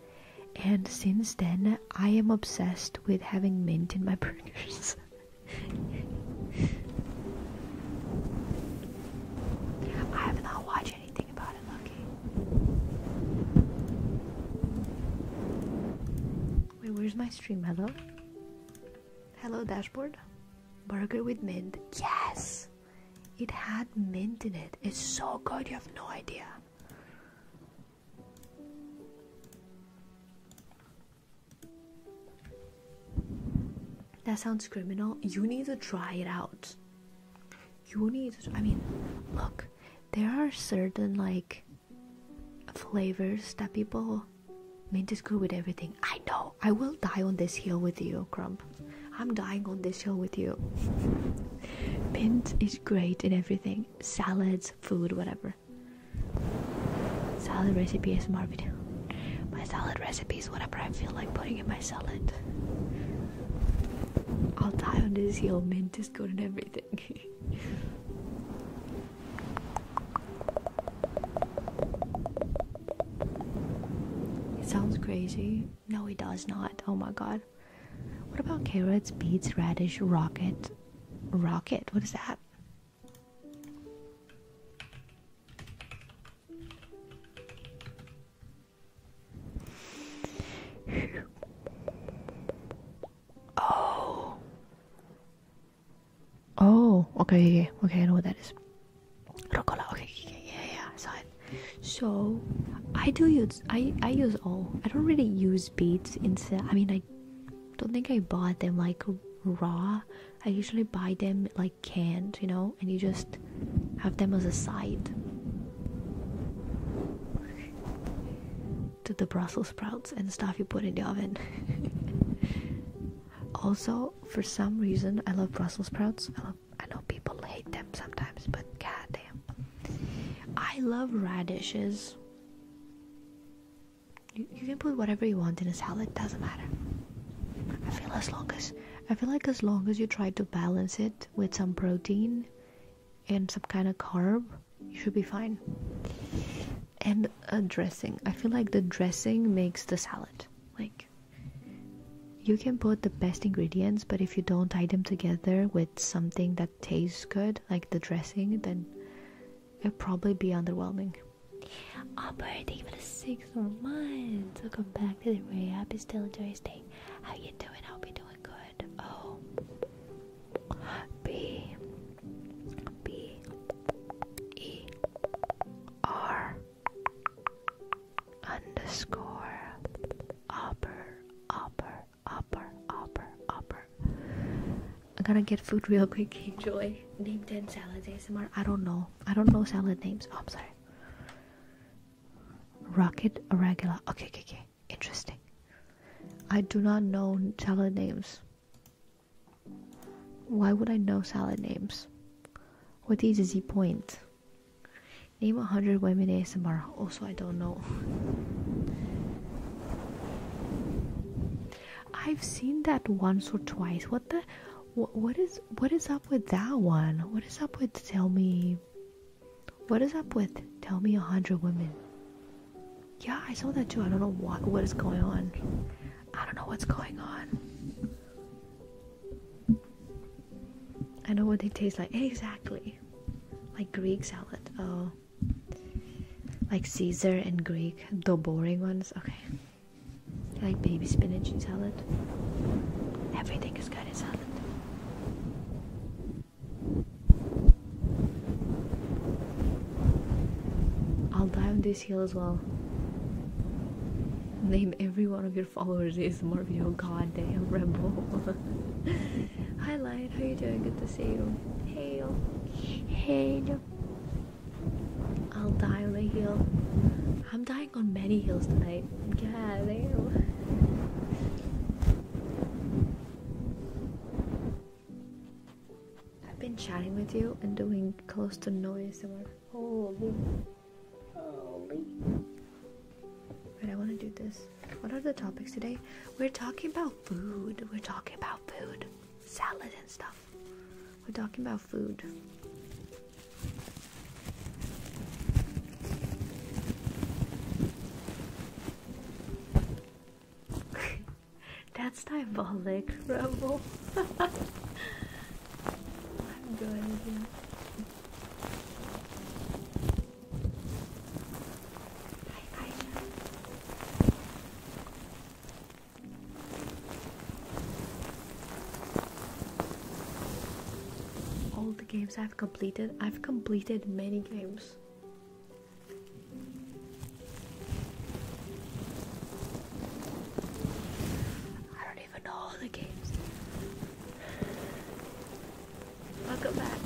Speaker 1: and since then I am obsessed with having mint in my burgers. I've not watched Wait, where's my stream? Hello? Hello, dashboard? Burger with mint. Yes! It had mint in it. It's so good, you have no idea. That sounds criminal. You need to try it out you need i mean look there are certain like flavors that people mint is good with everything i know i will die on this hill with you crump i'm dying on this hill with you mint is great in everything salads food whatever salad recipe is my video my salad recipes whatever i feel like putting in my salad I'll die on this hill, Mint is good and everything. it sounds crazy. No, it does not. Oh my god. What about carrots, beets, radish, rocket? Rocket? What is that?
Speaker 2: Oh.
Speaker 1: Oh, okay, okay, okay, I know what that is. Rocola, okay, okay, yeah, yeah, saw it. So, I do use, I, I use all. I don't really use beads instead, I mean, I don't think I bought them, like, raw. I usually buy them, like, canned, you know, and you just have them as a side to the Brussels sprouts and stuff you put in the oven. also, for some reason, I love Brussels sprouts. I, know people hate them sometimes, but goddamn, I love radishes. You, you can put whatever you want in a salad; doesn't matter. I feel as long as I feel like as long as you try to balance it with some protein and some kind of carb, you should be fine. And a dressing. I feel like the dressing makes the salad. Like, you can put the best ingredients, but if you don't tie them together with something that tastes good, like the dressing, then it'll probably be underwhelming. Upper, thank you for the Excellent. Welcome back to the very happy still enjoy stay. How you doing? I'll be doing good. Oh underscore upper upper upper upper upper I gotta get food real quick, enjoy. Name 10 salads ASMR. I don't know. I don't know salad names. Oh, I'm sorry. Rocket irregular. Okay, okay, okay. Interesting. I do not know salad names. Why would I know salad names? What is the point? Name 100 women ASMR. Also, I don't know. I've seen that once or twice. What the? what is what is up with that one? What is up with tell me what is up with tell me a hundred women? Yeah, I saw that too. I don't know what what is going on. I don't know what's going on. I know what they taste like. Exactly. Like Greek salad. Oh. Like Caesar and Greek. The boring ones. Okay. Like baby spinach salad. Everything is good in salad. I'll die on this hill as well. Name every one of your followers is Mario. Goddamn rebel. Hi, Light. How you doing? Good to see you. Hail.
Speaker 2: Hail.
Speaker 1: I'll die on a hill. I'm dying on many hills tonight like, god I've been chatting with you and doing close to no ASMR. Holy. Holy. But I want to do this. What are the topics today? We're talking about food. We're talking about food. Salad and stuff. We're talking about food. That's diabolic, Rebel. I'm
Speaker 2: good. I,
Speaker 1: All the games I've completed, I've completed many games. Welcome back.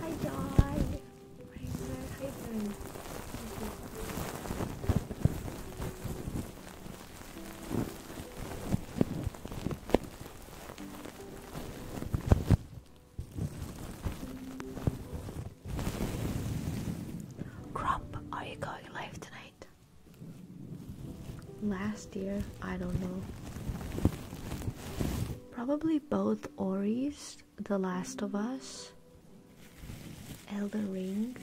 Speaker 1: Hi, John. How you Crump, are you going live tonight? Last year, I don't know. Probably both Ori's, The Last of Us, Elden Ring.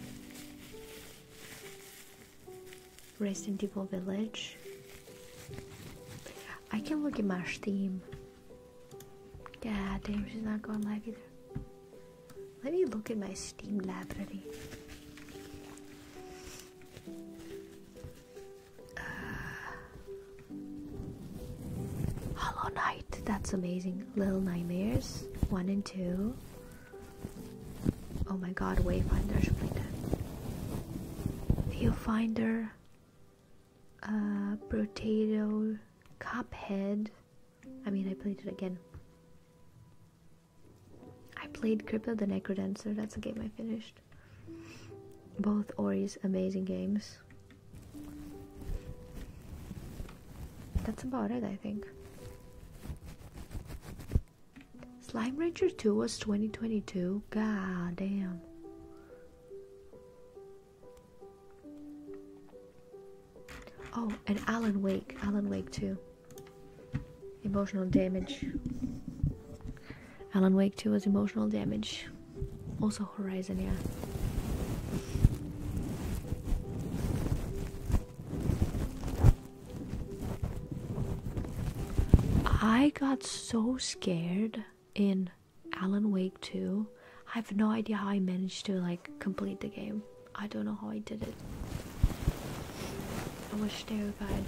Speaker 1: Raised in Evil Village. I can look at my Steam. God damn, she's not going live either. Let me look at my Steam library. Uh, Hollow Knight, that's amazing. Little Nightmares, 1 and 2. Oh my god, Wayfinder should play that. Viewfinder, uh, Potato, Cophead. I mean, I played it again. I played Cripple the Necrodancer, that's a game I finished. Both Ori's amazing games. That's about it, I think. Slime Rancher 2 was 2022. God damn. Oh, and Alan Wake. Alan Wake 2. Emotional damage. Alan Wake 2 was emotional damage. Also Horizon, yeah. I got so scared in Alan Wake 2. I have no idea how I managed to like complete the game. I don't know how I did it. I was terrified.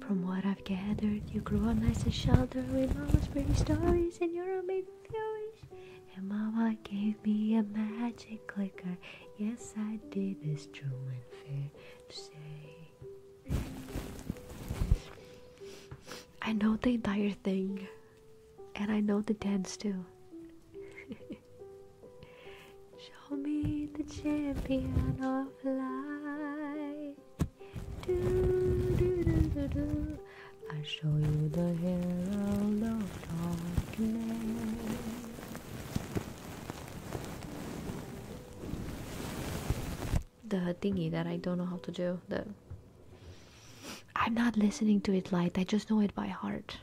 Speaker 1: From what I've gathered, you grew up nice and sheltered with mama's pretty stories and you're your amazing theories. And mama gave me a magic clicker. Yes, I did. It's true and fair
Speaker 2: to say.
Speaker 1: I know the entire thing, and I know the dance too. Call me the champion of light. Do, do, do, do, do. I show you the herald of darkness. The thingy that I don't know how to do. The I'm not listening to it light. I just know it by heart.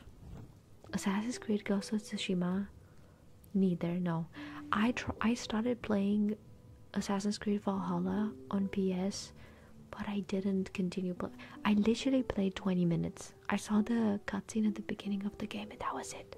Speaker 1: Assassin's Creed Ghost of Tsushima. Neither, no. I tr I started playing Assassin's Creed Valhalla on PS, but I didn't continue. Play I literally played 20 minutes. I saw the cutscene at the beginning of the game, and that was it.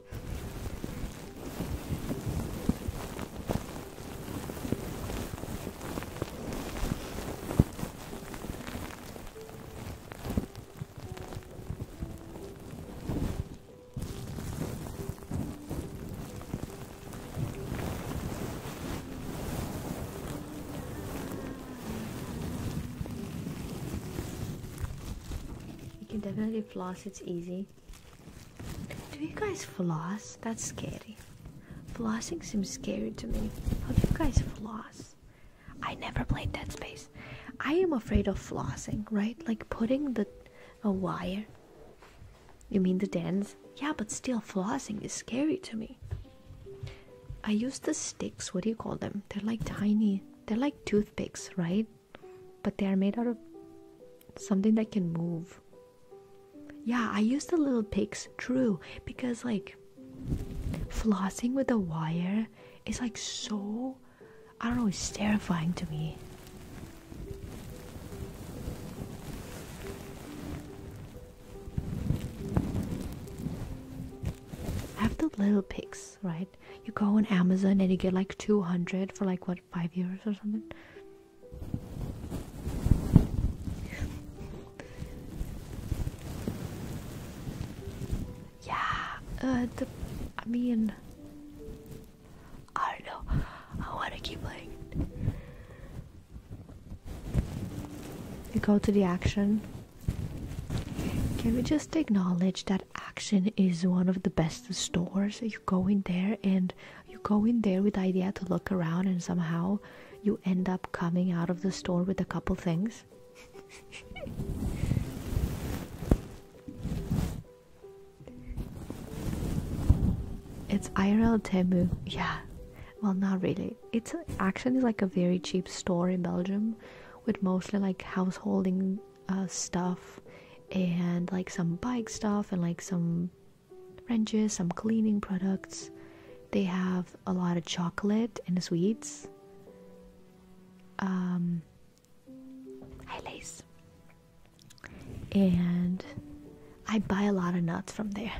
Speaker 1: You can definitely floss, it's easy. Do you guys floss? That's scary. Flossing seems scary to me. How do you guys floss? I never played Dead Space. I am afraid of flossing, right? Like putting the a wire. You mean the dance? Yeah, but still, flossing is scary to me. I use the sticks, what do you call them? They're like tiny, they're like toothpicks, right? But they are made out of something that can move. Yeah, I use the little picks, true, because like flossing with a wire is like so I don't know, it's terrifying to me. I have the little pics, right? You go on Amazon and you get like 200 for like what, 5 euros or something? yeah, uh, the, I mean, I know. I want to keep playing You go to the action. Can we just acknowledge that Action is one of the best stores? You go in there and you go in there with the idea to look around, and somehow you end up coming out of the store with a couple things. It's IRL Temu. Yeah. Well, not really. It's actually like a very cheap store in Belgium with mostly like householding uh, stuff and like some bike stuff and like some wrenches, some cleaning products. They have a lot of chocolate and sweets. Um, I And I buy a lot of nuts from there.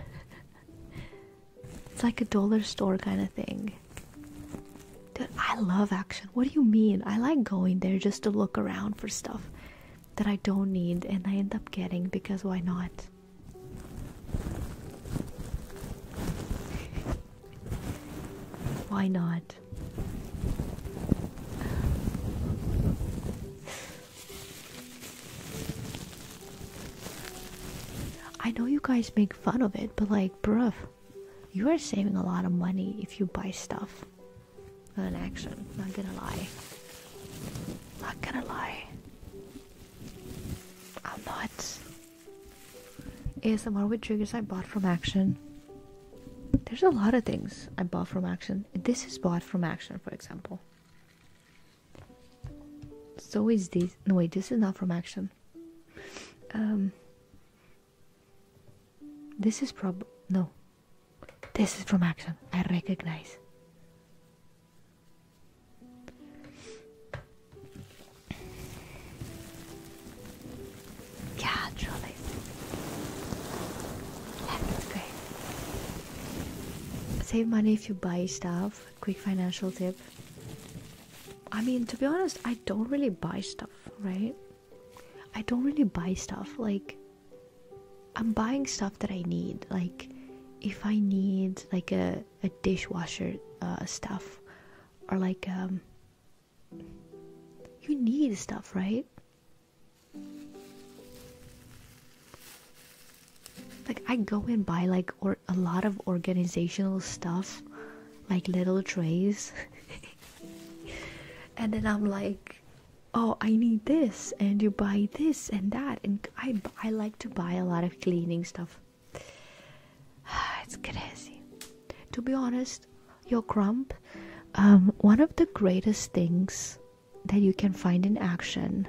Speaker 1: it's like a dollar store kind of thing. Dude, I love action. What do you mean? I like going there just to look around for stuff that I don't need and I end up getting because why not? why not? I know you guys make fun of it, but like, bruh, you are saving a lot of money if you buy stuff. on action, not gonna lie. Not gonna lie. I'm not. ASMR with triggers I bought from Action. There's a lot of things I bought from Action this is bought from action, for example. So is this. No, wait, this is not from action. Um, this is prob. No. This is from action. I recognize. Yeah, truly. That's great. Save money if you buy stuff. Quick financial tip. I mean, to be honest, I don't really buy stuff, right? I don't really buy stuff. Like, I'm buying stuff that I need. Like, if I need like a, a dishwasher uh, stuff or like um, you need stuff, right? Like I go and buy like a lot of organizational stuff, like little trays. and then I'm like, oh, I need this and you buy this and that and I I like to buy a lot of cleaning stuff. it's crazy. To be honest, your grump, um, one of the greatest things that you can find in action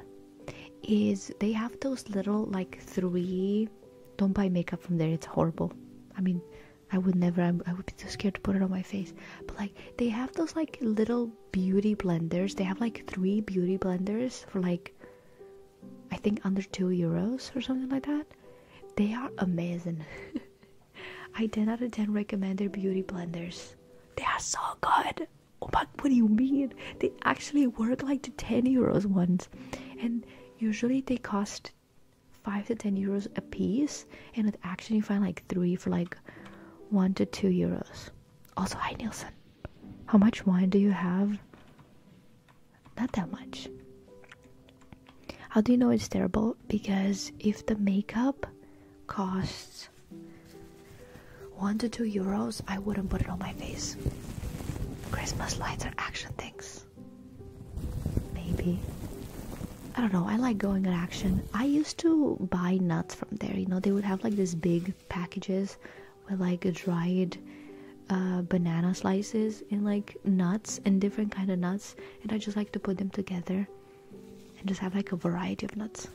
Speaker 1: is they have those little like three. Don't buy makeup from there; it's horrible. I mean, I would never. I would be too scared to put it on my face. But like, they have those like little beauty blenders. They have like three beauty blenders for like, I think under two euros or something like that. They are amazing. I 10 out of 10 recommend their beauty blenders. They are so good. Oh my, what do you mean? They actually work like the 10 euros ones. And usually they cost 5 to 10 euros a piece. And it actually you find like 3 for like 1 to 2 euros. Also, hi Nielsen. How much wine do you have? Not that much. How do you know it's terrible? Because if the makeup costs one to two euros, I wouldn't put it on my face. Christmas lights are action things. Maybe. I don't know, I like going on action. I used to buy nuts from there, you know, they would have like this big packages with like dried uh, banana slices and like nuts and different kind of nuts and I just like to put them together and just have like a variety of nuts.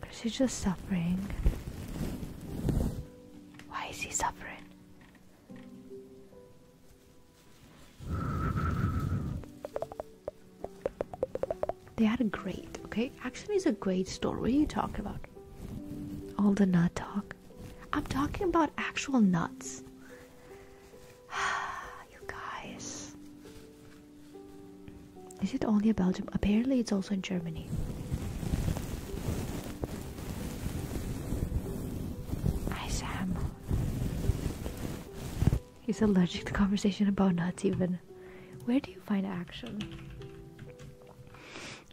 Speaker 1: Because he's just suffering. Why is he suffering? They had a great, okay? Actually, it's a great story. you talk about? All the nut talk. I'm talking about actual nuts. you guys. Is it only in Belgium? Apparently, it's also in Germany. Hi, Sam. He's allergic to conversation about nuts, even. Where do you find action?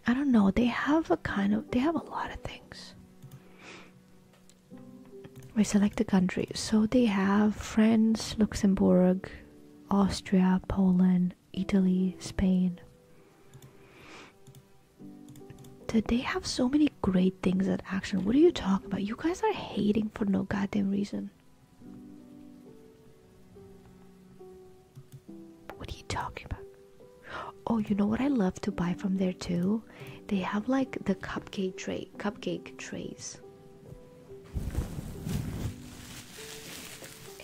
Speaker 1: I don't know. They have a kind of. They have a lot of things. We select the countries, So they have France, Luxembourg, Austria, Poland, Italy, Spain. Did they have so many great things at action? What are you talking about? You guys are hating for no goddamn reason.
Speaker 2: What are you talking about?
Speaker 1: Oh, you know what I love to buy from there too? They have like the cupcake tray, cupcake trays.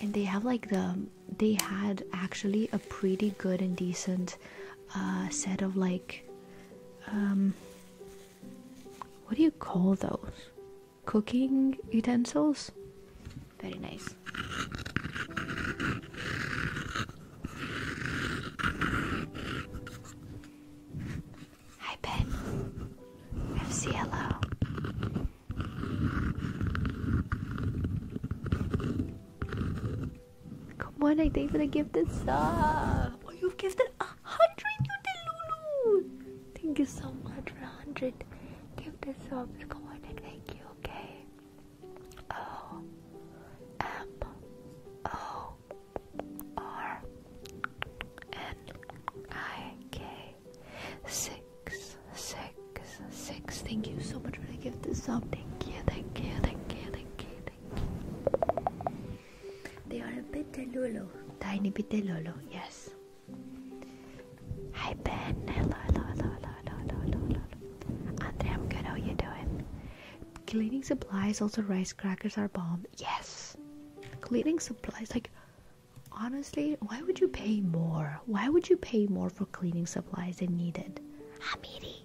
Speaker 1: And they have like the they had actually a pretty good and decent uh, set of like um, what do you call those? Cooking utensils? Very nice. Hi Ben. FC Come on, I thank you for the gifted sub. Oh, you've gifted a hundred, you did, Lulu. Thank you so much for a hundred gifted
Speaker 2: subs. Come on and thank you, okay? O M
Speaker 1: O R N I K six six six. Thank you so much for the gifted sub. Thank you, thank you, thank you, thank you. Thank you. They are a bit lolo. Tiny bit lolo, yes. Hi Ben. Hello, hello, hello, hello, hello, hello, hello. Andre, I'm good. How you doing? Cleaning supplies, also rice crackers are bomb. Yes. Cleaning supplies, like honestly, why would you pay more? Why would you pay more for cleaning supplies than needed? Hamidi.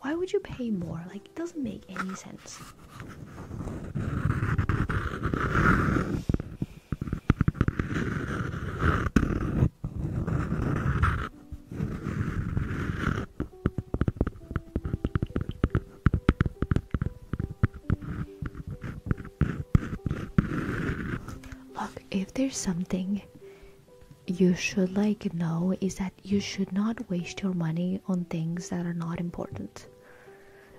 Speaker 1: Why would you pay more? Like, it doesn't make any sense. Look, if there's something you should like know is that you should not waste your money on things that are not important.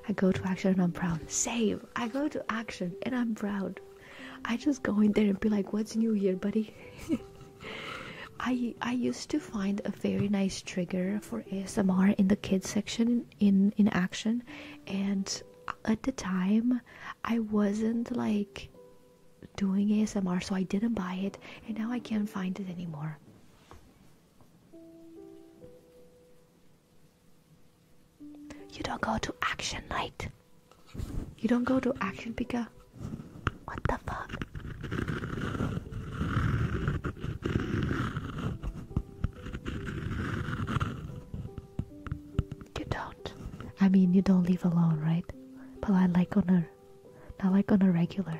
Speaker 1: I go to action and I'm proud. Save. I go to action and I'm proud. I just go in there and be like, "What's new here, buddy?" I I used to find a very nice trigger for ASMR in the kids section in in action, and at the time I wasn't like doing ASMR, so I didn't buy it, and now I can't find it anymore. You don't go to action night. You don't go to action Pika. What the fuck? You don't. I mean, you don't live alone, right? But I like on a, not like on a regular.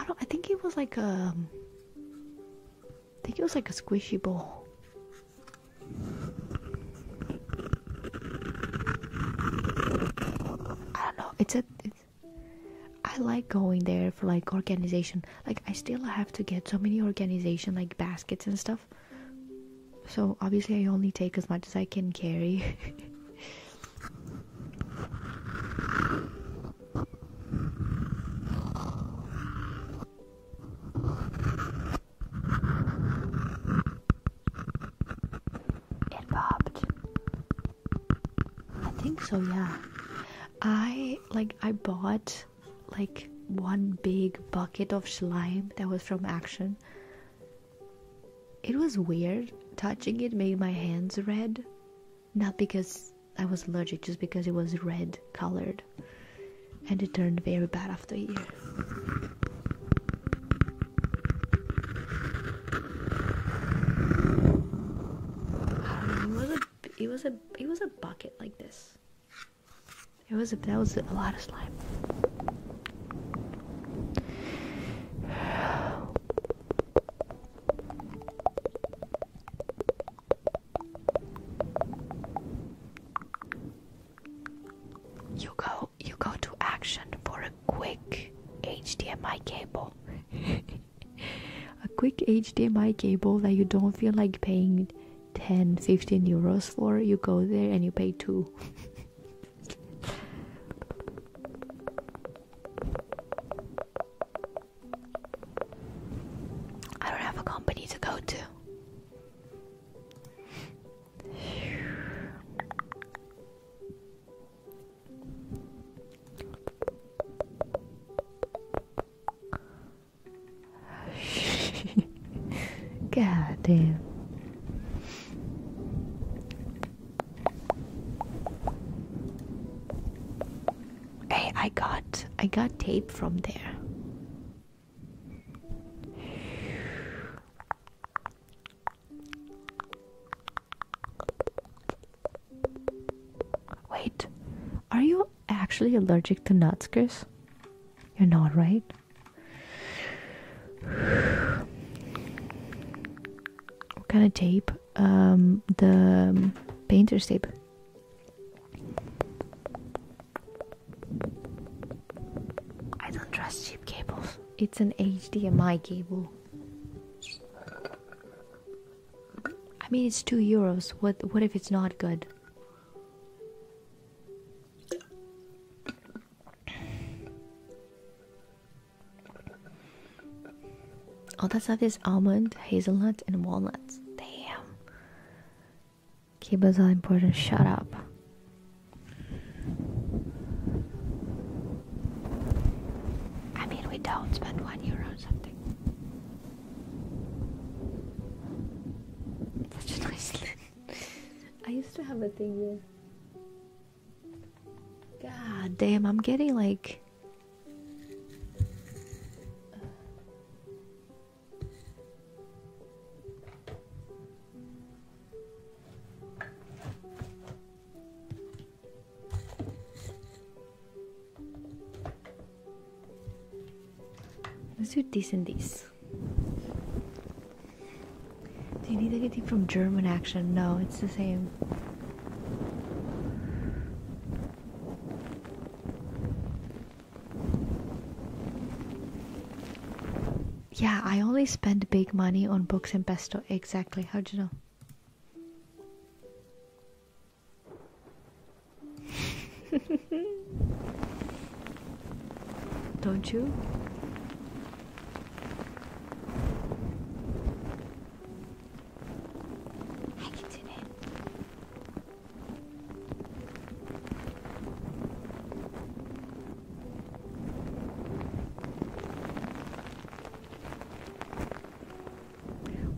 Speaker 1: I don't. I think it was like a. Um, I think it was like a squishy ball. I don't know. It's a. I like going there for like organization. Like I still have to get so many organization like baskets and stuff. So obviously, I only take as much as I can carry. It popped. I think so, yeah. I like I bought like one big bucket of slime that was from Action it was weird. Touching it made my hands red. Not because I was allergic, just because it was red colored. And it turned very bad after a year. It was a it was a it was a bucket like this. It was that was a lot of slime. You go, you go to action for a quick HDMI cable. a quick HDMI cable that you don't feel like paying 10 15 euros for you go there and you pay 2 I don't have a company to go to God damn. Hey, I got I got tape from there. Wait, are you actually allergic to nuts, Chris? You're not, right? what kind of tape? Um, the painter's tape. I don't trust cheap cables. It's an HDMI cable. I mean, it's two euros. What? What if it's not good? All that stuff is almond, hazelnut, and walnuts. Damn. Kiba's all important. Shut up. I mean, we don't spend one euro something.
Speaker 2: Such a
Speaker 1: I used to have a thing where. God damn, I'm getting like. Let's do this and this. Do you need anything from German action? No, it's the same. Yeah, I only spend big money on books and pesto. Exactly. How'd you know? Don't you?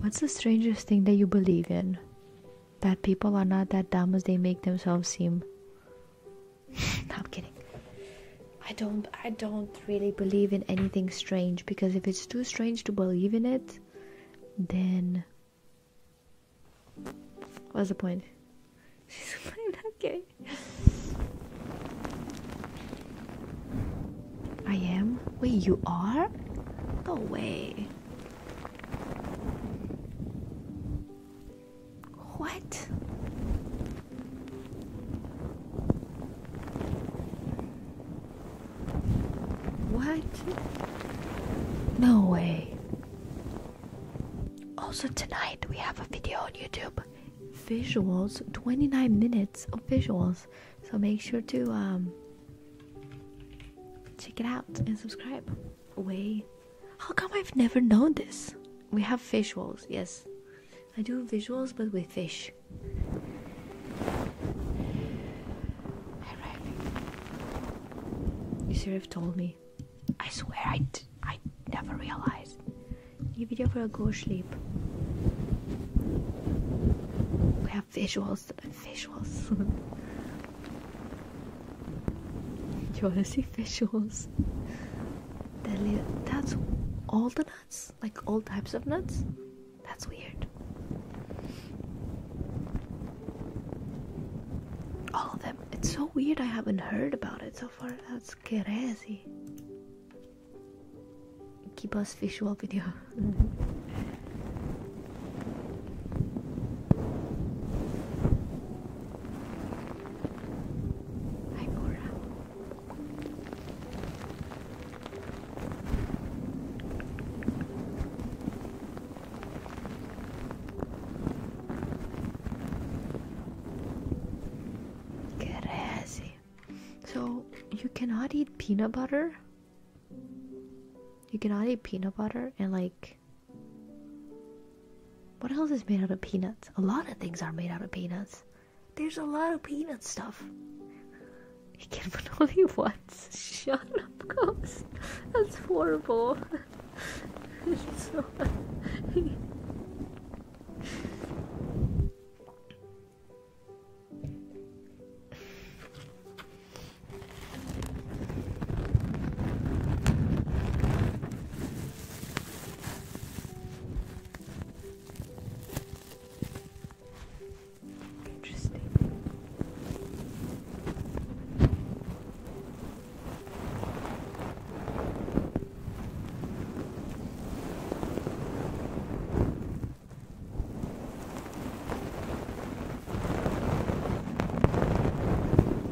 Speaker 1: What's the strangest thing that you believe in? That people are not that dumb as they make themselves seem. I'm kidding. I don't I don't really believe in anything strange because if it's too strange to believe in it, then what's the point? She's playing that game. I am? Wait, you are? No way. What? What? No way. Also, tonight we have a video on YouTube visuals 29 minutes of visuals. So make sure to um, check it out and subscribe way. How come I've never known this? We have visuals, yes. I do visuals but with fish. You should have told me. I swear I I, d I never realized. New video for go sleep. We have visuals, visuals. You wanna see visuals? That's all the nuts? Like all types of nuts? That's weird. All of them. It's so weird I haven't heard about it so far. That's crazy. Keep us visual video. Hi, Cora. So you cannot eat peanut butter. You cannot eat peanut butter and like what else is made out of peanuts? A lot of things are made out of peanuts. There's a lot of peanut stuff. You can put only once. Shut up, Ghost. That's horrible. so Interesting.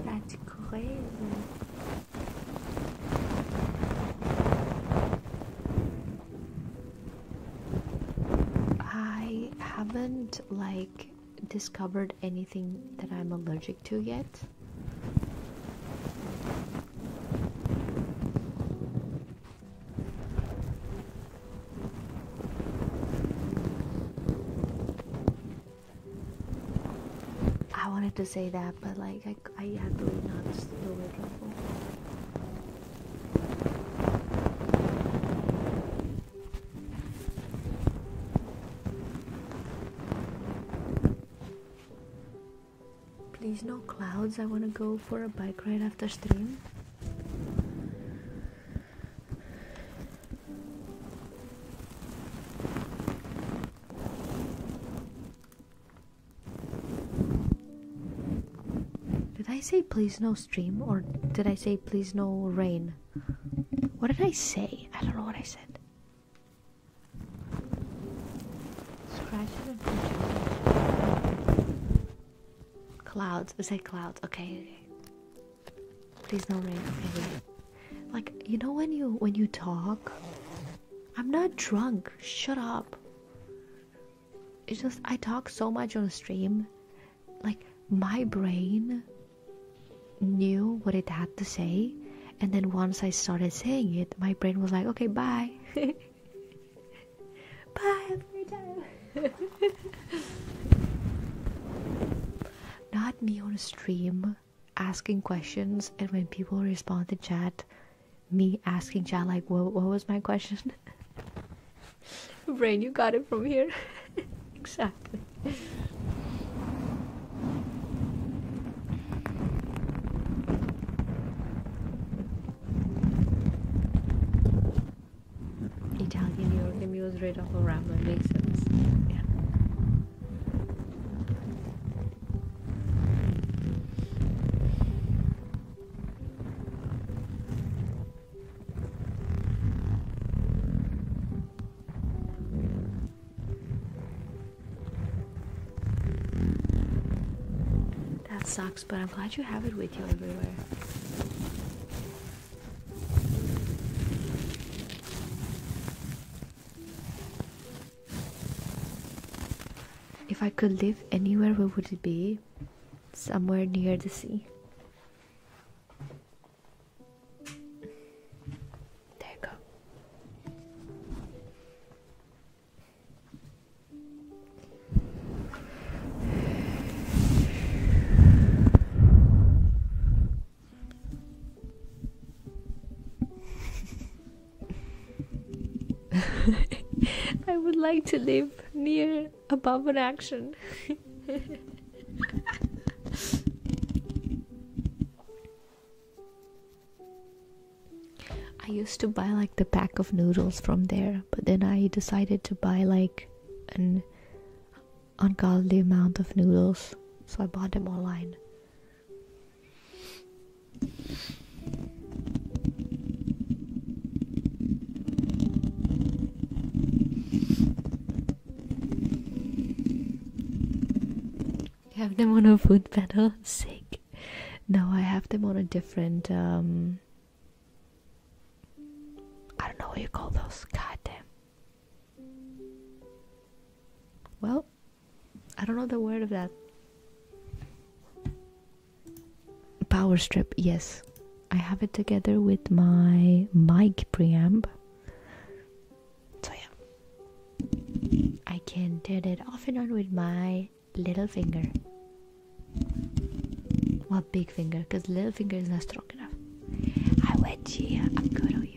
Speaker 1: That's crazy. I haven't like discovered anything that I'm allergic to yet. I wanted to say that, but like I, I had to not do it. Please no clouds. I want to go for a bike ride after stream. Did I say please no stream or did I say please no rain? What did I say? I don't know what I said. Clouds. We say clouds. Okay. Please no rain. Okay. Like you know when you when you talk I'm not drunk. Shut up. It's just I talk so much on a stream. Like my brain knew what it had to say and then once I started saying it, my brain was like, okay, bye. bye, have time. Not me on a stream asking questions and when people respond to chat me asking chat like what, what was my question brain you got it from here exactly Italian European was right off of
Speaker 2: Rambler makes sense. Yeah.
Speaker 1: That sucks, but I'm glad you have it with you everywhere. If I could live anywhere, where would it be? Somewhere near the sea. There you go. I would like to live near above an action. I used to buy like the pack of noodles from there, but then I decided to buy like an ungodly amount of noodles, so I bought them online have them on a foot pedal? Sick. No, I have them on a different um I don't know what you call those. God damn. Well, I don't know the word of that. Power strip, yes. I have it together with my mic preamp. So yeah. I can turn it off and on with my little finger. Well big finger, because little finger is not strong enough. I wet you. I'm good on you.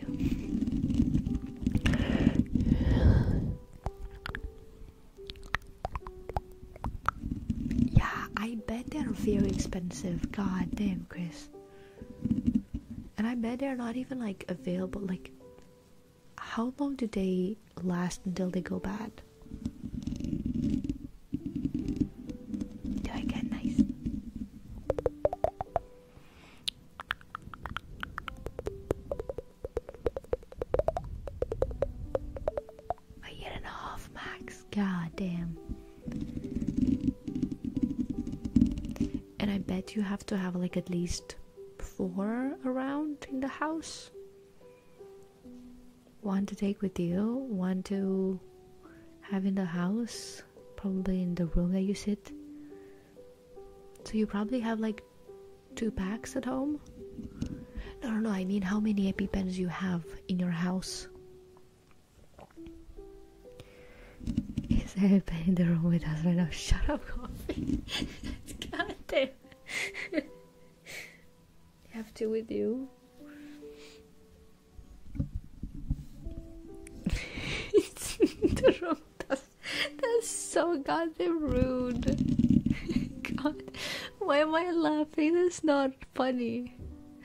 Speaker 1: Yeah, I bet they're very expensive. God damn, Chris. And I bet they're not even like available. Like, how long do they last until they go bad?
Speaker 2: Do I get nice?
Speaker 1: A year and a half max. God And I bet you have to have like at least four around in the house. One to take with you, one to have in the house, probably in the room that you sit. So you probably have like two packs at home? No, no, no, I mean how many EpiPens you have in your house. Is there a pen in the room with us right now? Shut up, coffee. God damn. have to with you. it's in the room, That's so goddamn rude. God, why am I laughing? That's not funny.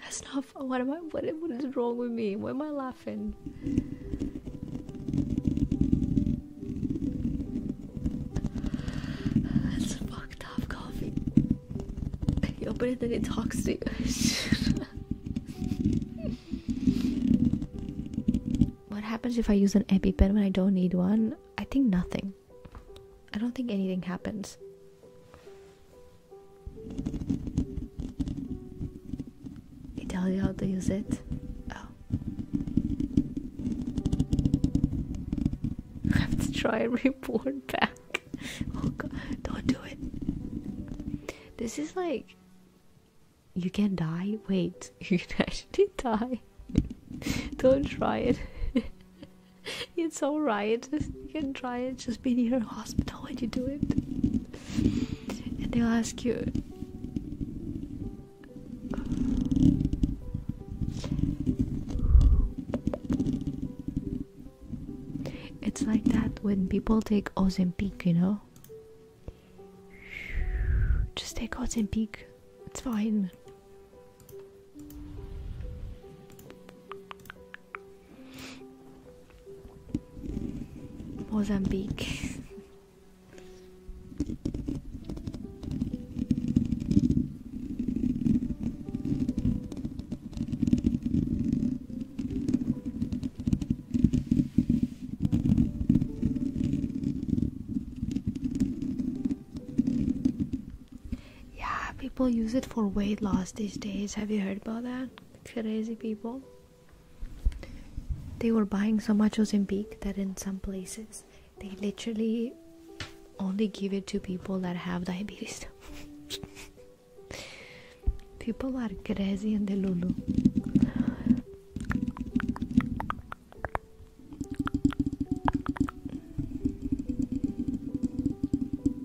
Speaker 1: That's not. Fun. What am I? What, what is wrong with me? Why am I laughing? That's fucked up coffee. You open it and it talks to you. what happens if I use an EpiPen when I don't need one? I think nothing. I don't think anything happens. It tell you how to use it. Oh. I have to try and report back. Oh god, don't do it. This is like you can die? Wait, you can actually die. Don't try it. it's alright. You can try it. Just be near a hospital when you do it. And they'll ask you. It's like that when people take Ozempic, you know? Just take out and peek. It's fine. Mozambique. Yeah, people use it for weight loss these days. Have you heard about that? Crazy people. They were buying so much Ozempic that in some places they literally only give it to people that have diabetes. people are crazy in the Lulu.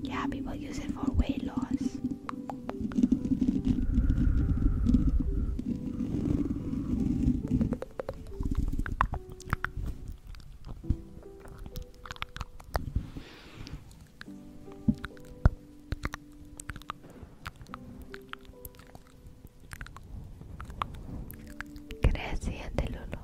Speaker 1: Yeah, people use it for weight loss. Gracias, Lolo.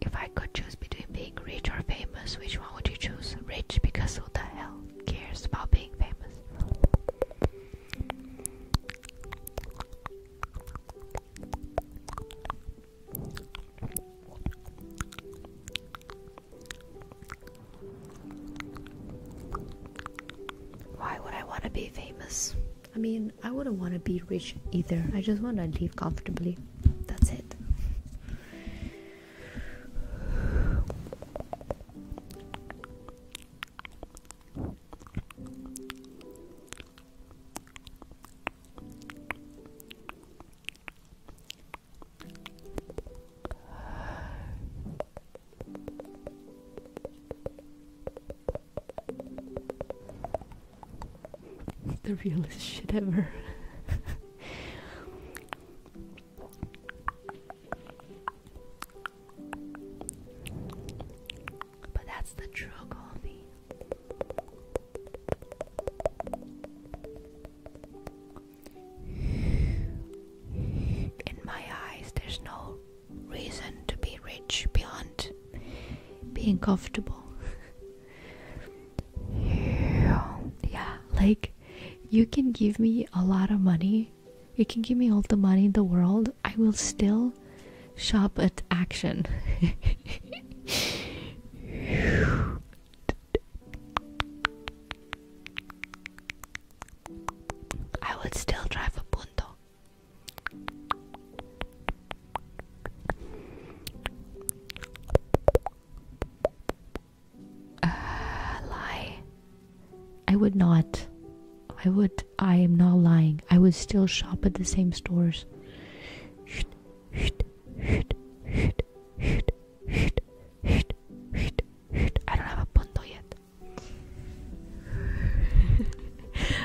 Speaker 1: If I could choose between being rich or famous, which one would you choose? Rich, because who the hell cares about being famous? Why would I want to be famous? I mean, I wouldn't want to be rich either. I just want to live comfortably. That's it the realest shit ever. But that's the true coffee. In my eyes, there's no reason to be rich beyond being comfortable. yeah, like you can give me a lot of money okay? You can give me all the money in the world, I will still shop at Action. I would still drive a punto.
Speaker 2: lie. I
Speaker 1: would not. I would. I am not lying. I would still shop at the same stores. I don't have a bundle yet.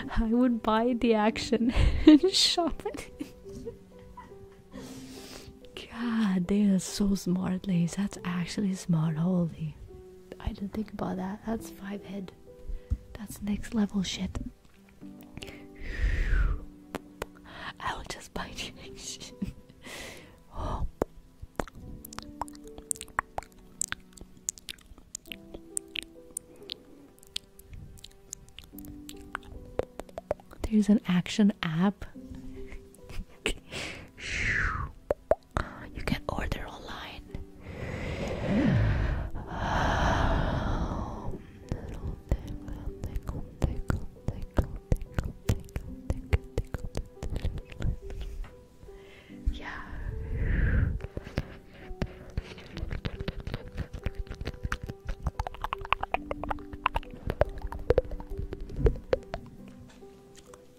Speaker 1: I would buy the action and shop it. God, they are so smart, ladies. That's actually smart. Holy. I didn't think about that. That's five head. That's next level shit. I will just bite you. There's an action app. You can order online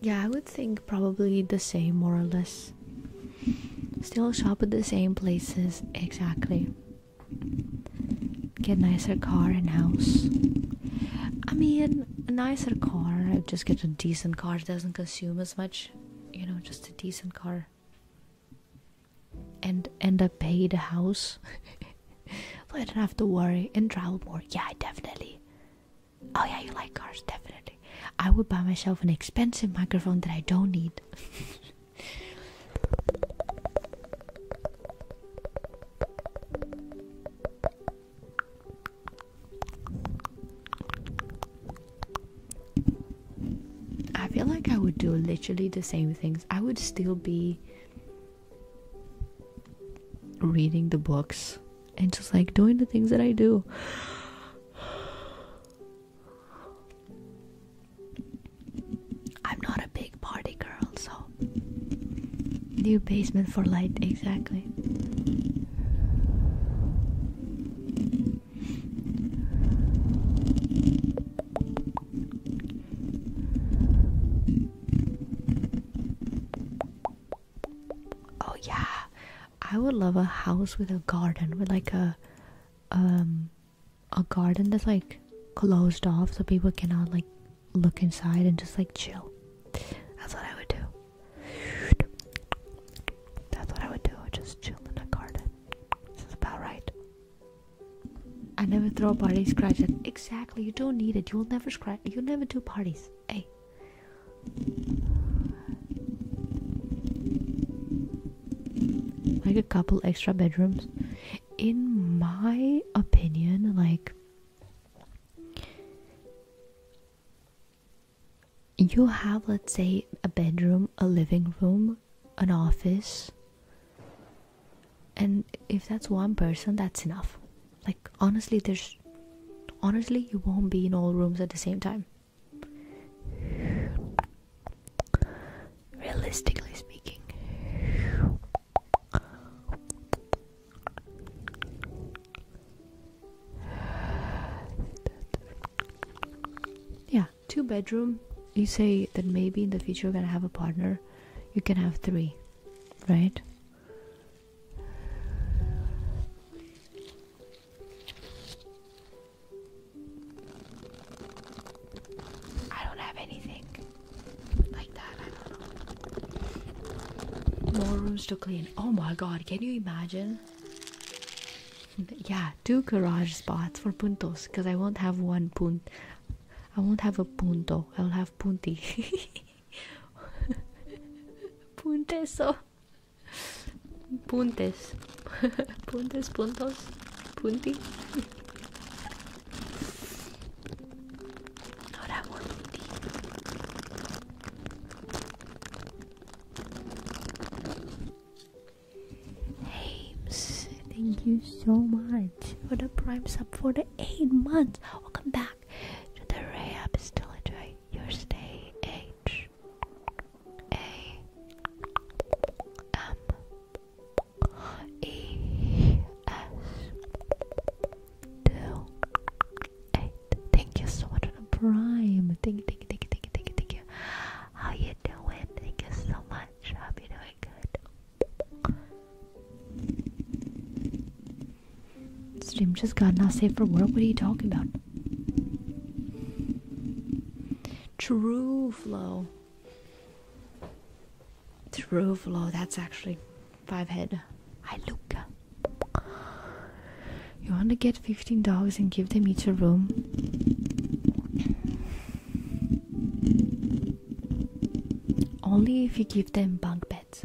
Speaker 1: yeah, I would think probably the same, more or less. Still shop at the same places, exactly. Get nicer car and house. I mean, a nicer car. I just get a decent car. It doesn't consume as much, you know. Just a decent car. And end up pay the house. so I don't have to worry and travel more. Yeah, definitely. Oh yeah, you like cars, definitely. I would buy myself an expensive microphone that I don't need. I feel like I would do literally the same things. I would still be reading the books and just like doing the things that I do. I'm not a big party girl, so. New basement for light, exactly. Oh, yeah, I would love a house with a garden with like a um a garden that's like closed off so people cannot like look inside and just like chill. That's what I would do. That's what I would do. Just chill in a garden. This is about right. I never throw parties. Exactly. You don't need it. You'll never scratch. You'll never do parties. Hey, like a couple extra bedrooms in my opinion like you have let's say a bedroom a living room an office and if that's one person that's enough like honestly there's honestly you won't be in all rooms at the same time Realistically speaking, yeah, two bedroom. You say that maybe in the future you're gonna have a partner, you can have three, right? I don't have anything like that. I don't know. More rooms to clean. Oh my god, can you imagine? yeah, two garage spots for puntos because I won't have one punt. I won't have a punto. I'll have punti. Punteso. Puntes. Puntes, puntos, punti. Ahora volunti. Hey, thank you so much for the prime sub for the eight months. Welcome back to the Rehab. Still enjoy your stay H. H A M E S two eight. Thank you so much for the prime. Thank you, thank you, thank you, thank you, thank you, thank How you doing? Thank you so much. I'll be doing good. Stream just got not safe for work. What are you talking about? True flow. True flow. That's actually five head. I look. You want to get 15 dollars and give them each a room? Only if you give them bunk beds.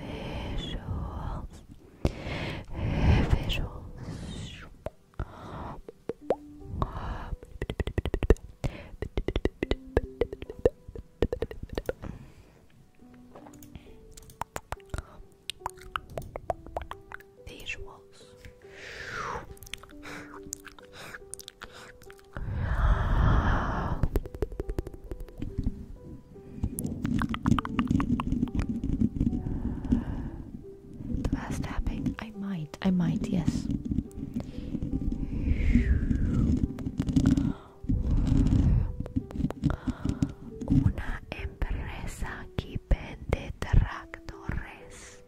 Speaker 2: visuals, visuals.
Speaker 1: Visuals. The last tapping, I might, I might, yes. Una empresa que vende tractores.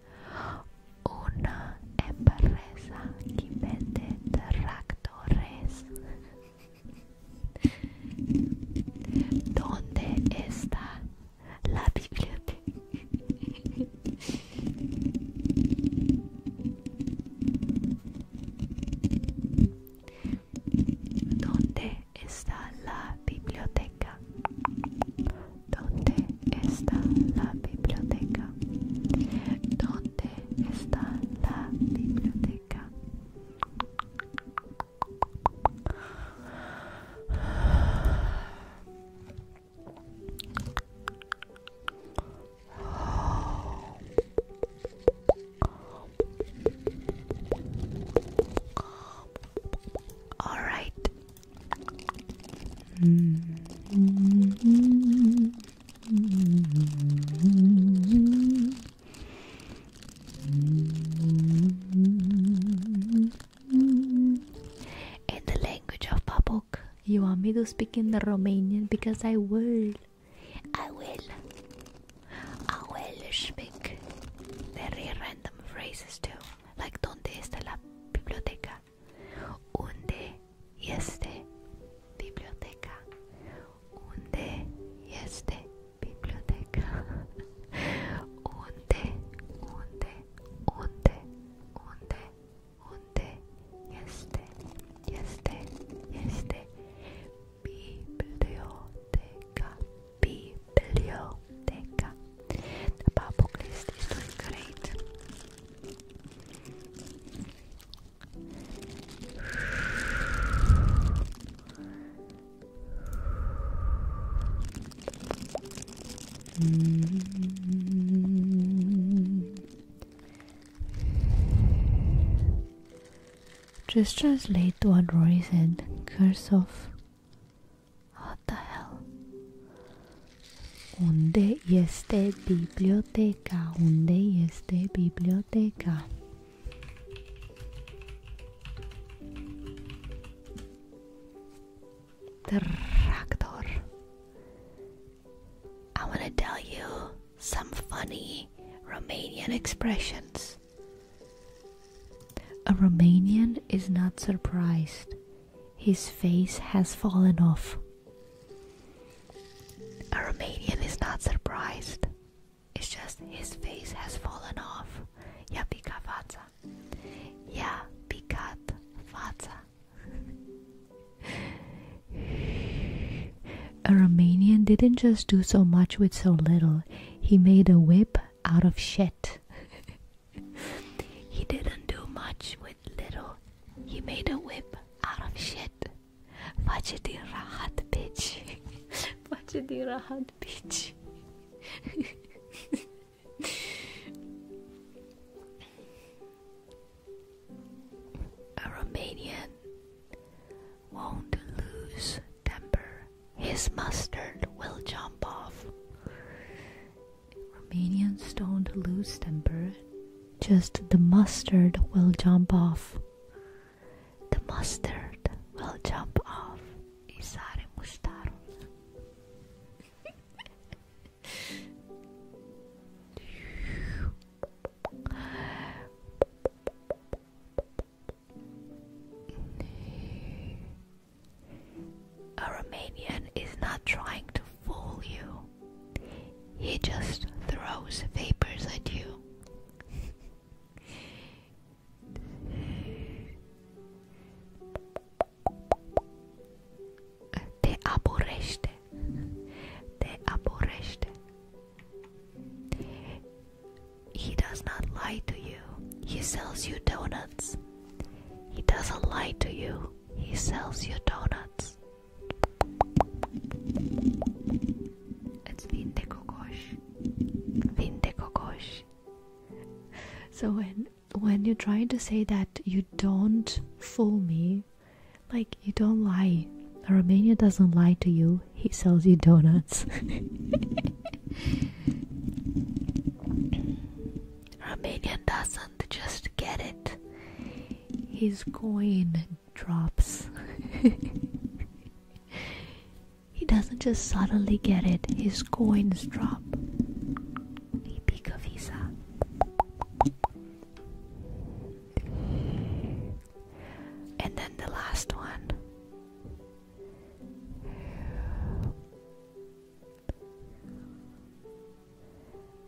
Speaker 1: una empresa que vende tractores. ¿Dónde está la biblioteca? ¿Dónde está la biblioteca? ¿Dónde está la biblioteca? ¿Dónde está la biblioteca.
Speaker 2: All right. Mm-hmm. In
Speaker 1: the language of Babok, you want me to speak in the Romanian because I will. I will. I will speak very random phrases too, like donde está la biblioteca? biblioteca? Unde este biblioteca? Unde este biblioteca? Unde, unde, unde, unde, unde este, este, este biblioteca,
Speaker 2: biblioteca. The pop list is doing great.
Speaker 1: Just translate what Rory said. Curse of. What the hell? Unde este biblioteca? Unde este biblioteca? Tractor. I want to tell you some funny Romanian expressions. A Romanian is not surprised. His face has fallen off. A Romanian is not surprised. It's just his face has fallen off. Ia picat fața. Ia picat fața. A Romanian didn't just do so much with so little. He made a whip out of shit. he didn't do much with little. He made a whip out of shit. Majdi rahat bitch. Majdi rahat bitch. A Romanian won't lose temper. His mustard will jump off. Romanians don't lose temper just the mustard will jump off. The mustard will jump off. Isare mustard. A Romanian is not trying to fool you. He just throws vapors at you. Te aborrește. Te aborrește. He does not lie to you. He sells you donuts. He doesn't lie to you. He sells you donuts. It's Vinte Kokosh. Vinte Kokosh. So when when you're trying to say that you don't fool me, like you don't lie. Romania doesn't lie to you, he sells you donuts. Romania doesn't just get it. He's going drops. he doesn't just suddenly get it, his coins drop. And then the last one.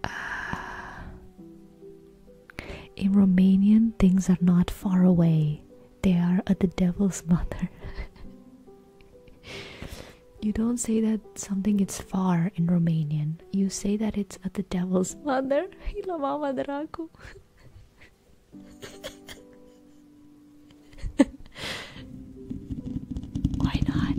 Speaker 1: Uh, in Romanian, things are not far away, they are at the devil's mother. you don't say that something is far in Romanian, you say that it's at the devil's mother. Why not?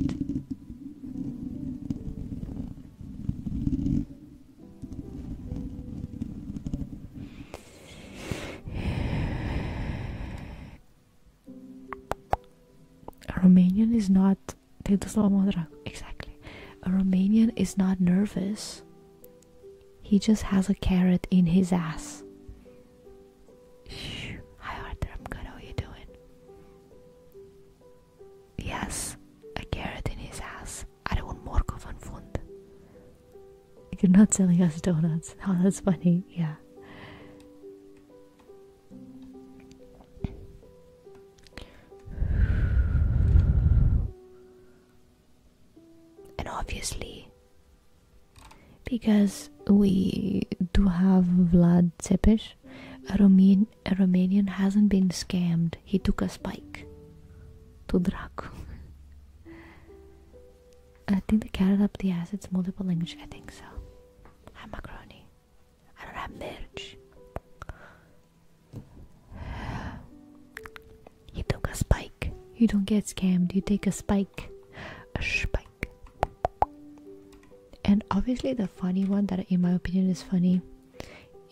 Speaker 1: A Romanian is not exactly. A Romanian is not nervous. He just has a carrot in his ass. Hi Arthur, I'm good. How are you doing? Yes, a carrot in his ass. I don't Are un morco van fund. You're not selling us donuts. Oh, that's funny. Yeah. And obviously, because we do have Vlad I don't mean a Romanian hasn't been scammed. He took a spike. To Dracu. I think the carrot up the ass. It's multiple language. I think so. I'm macaroni. I don't have merch. He took a spike. You don't get scammed. You take a spike. A spike. And obviously, the funny one that, in my opinion, is funny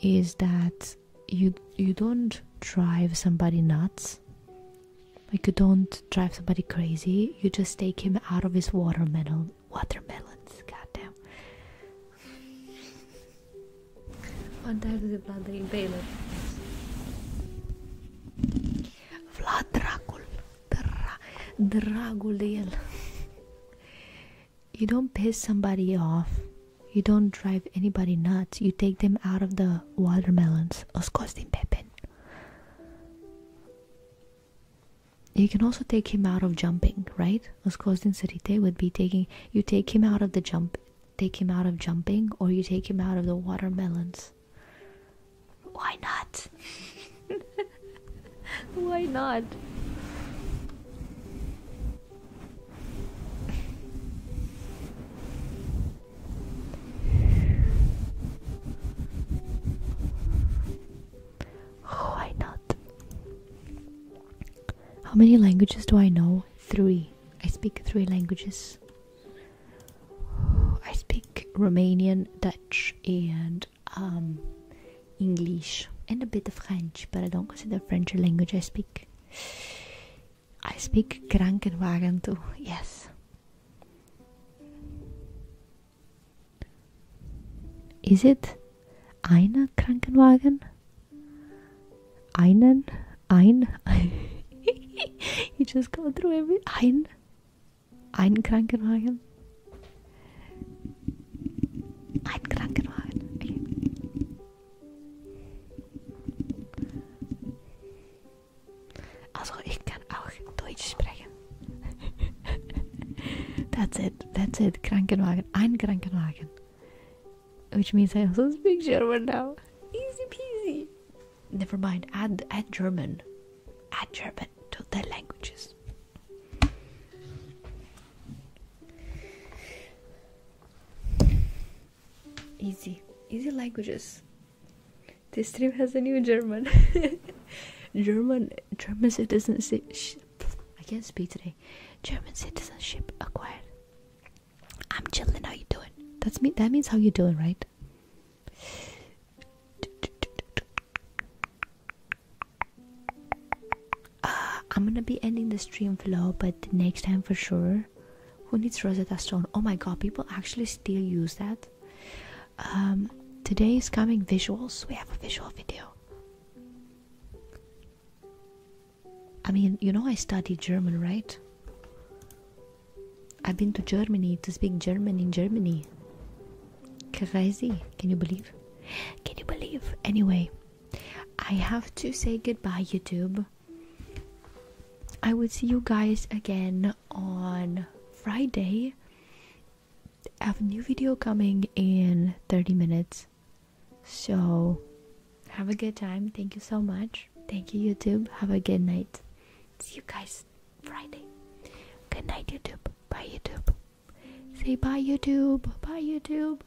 Speaker 1: is that you you don't drive somebody nuts like you don't drive somebody crazy you just take him out of his watermelon watermelons goddamn Vlad Dracul Dra Dragul de el you don't piss somebody off you don't drive anybody nuts you take them out of the watermelons os costin pepin you can also take him out of jumping right os costin serite would be taking you take him out of the jump take him out of jumping or you take him out of the watermelons why not why not why not? How many languages do I know? Three. I speak three languages. I speak Romanian, Dutch, and um, English, and a bit of French, but I don't consider French a language. I speak I speak Krankenwagen too, yes. Is it eine Krankenwagen? Einen? Ein? you just go through every. Ein? Ein Krankenwagen? Ein Krankenwagen. that's it, that's it. Krankenwagen, ein Krankenwagen. Which means I also speak German now. Easy peasy. Never mind, add, add German. Add German to the languages. Easy. Easy languages. This stream has a new German. German German citizenship. I can't speak today. German citizenship acquired. I'm chilling. How you doing? That's me. That means how you doing, right? Uh, I'm gonna be ending the stream flow, but next time for sure. Who needs Rosetta Stone? Oh my god, people actually still use that. Um, today is coming visuals. We have a visual video. I mean, you know, I studied German, right? I've been to Germany to speak German in Germany. Crazy. Can you believe? Can you believe? Anyway, I have to say goodbye, YouTube. I will see you guys again on Friday. I have a new video coming in 30 minutes. So, have a good time. Thank you so much. Thank you, YouTube. Have a good night. See you guys Friday. Good night, YouTube. Bye, YouTube. Say bye, YouTube. Bye, YouTube.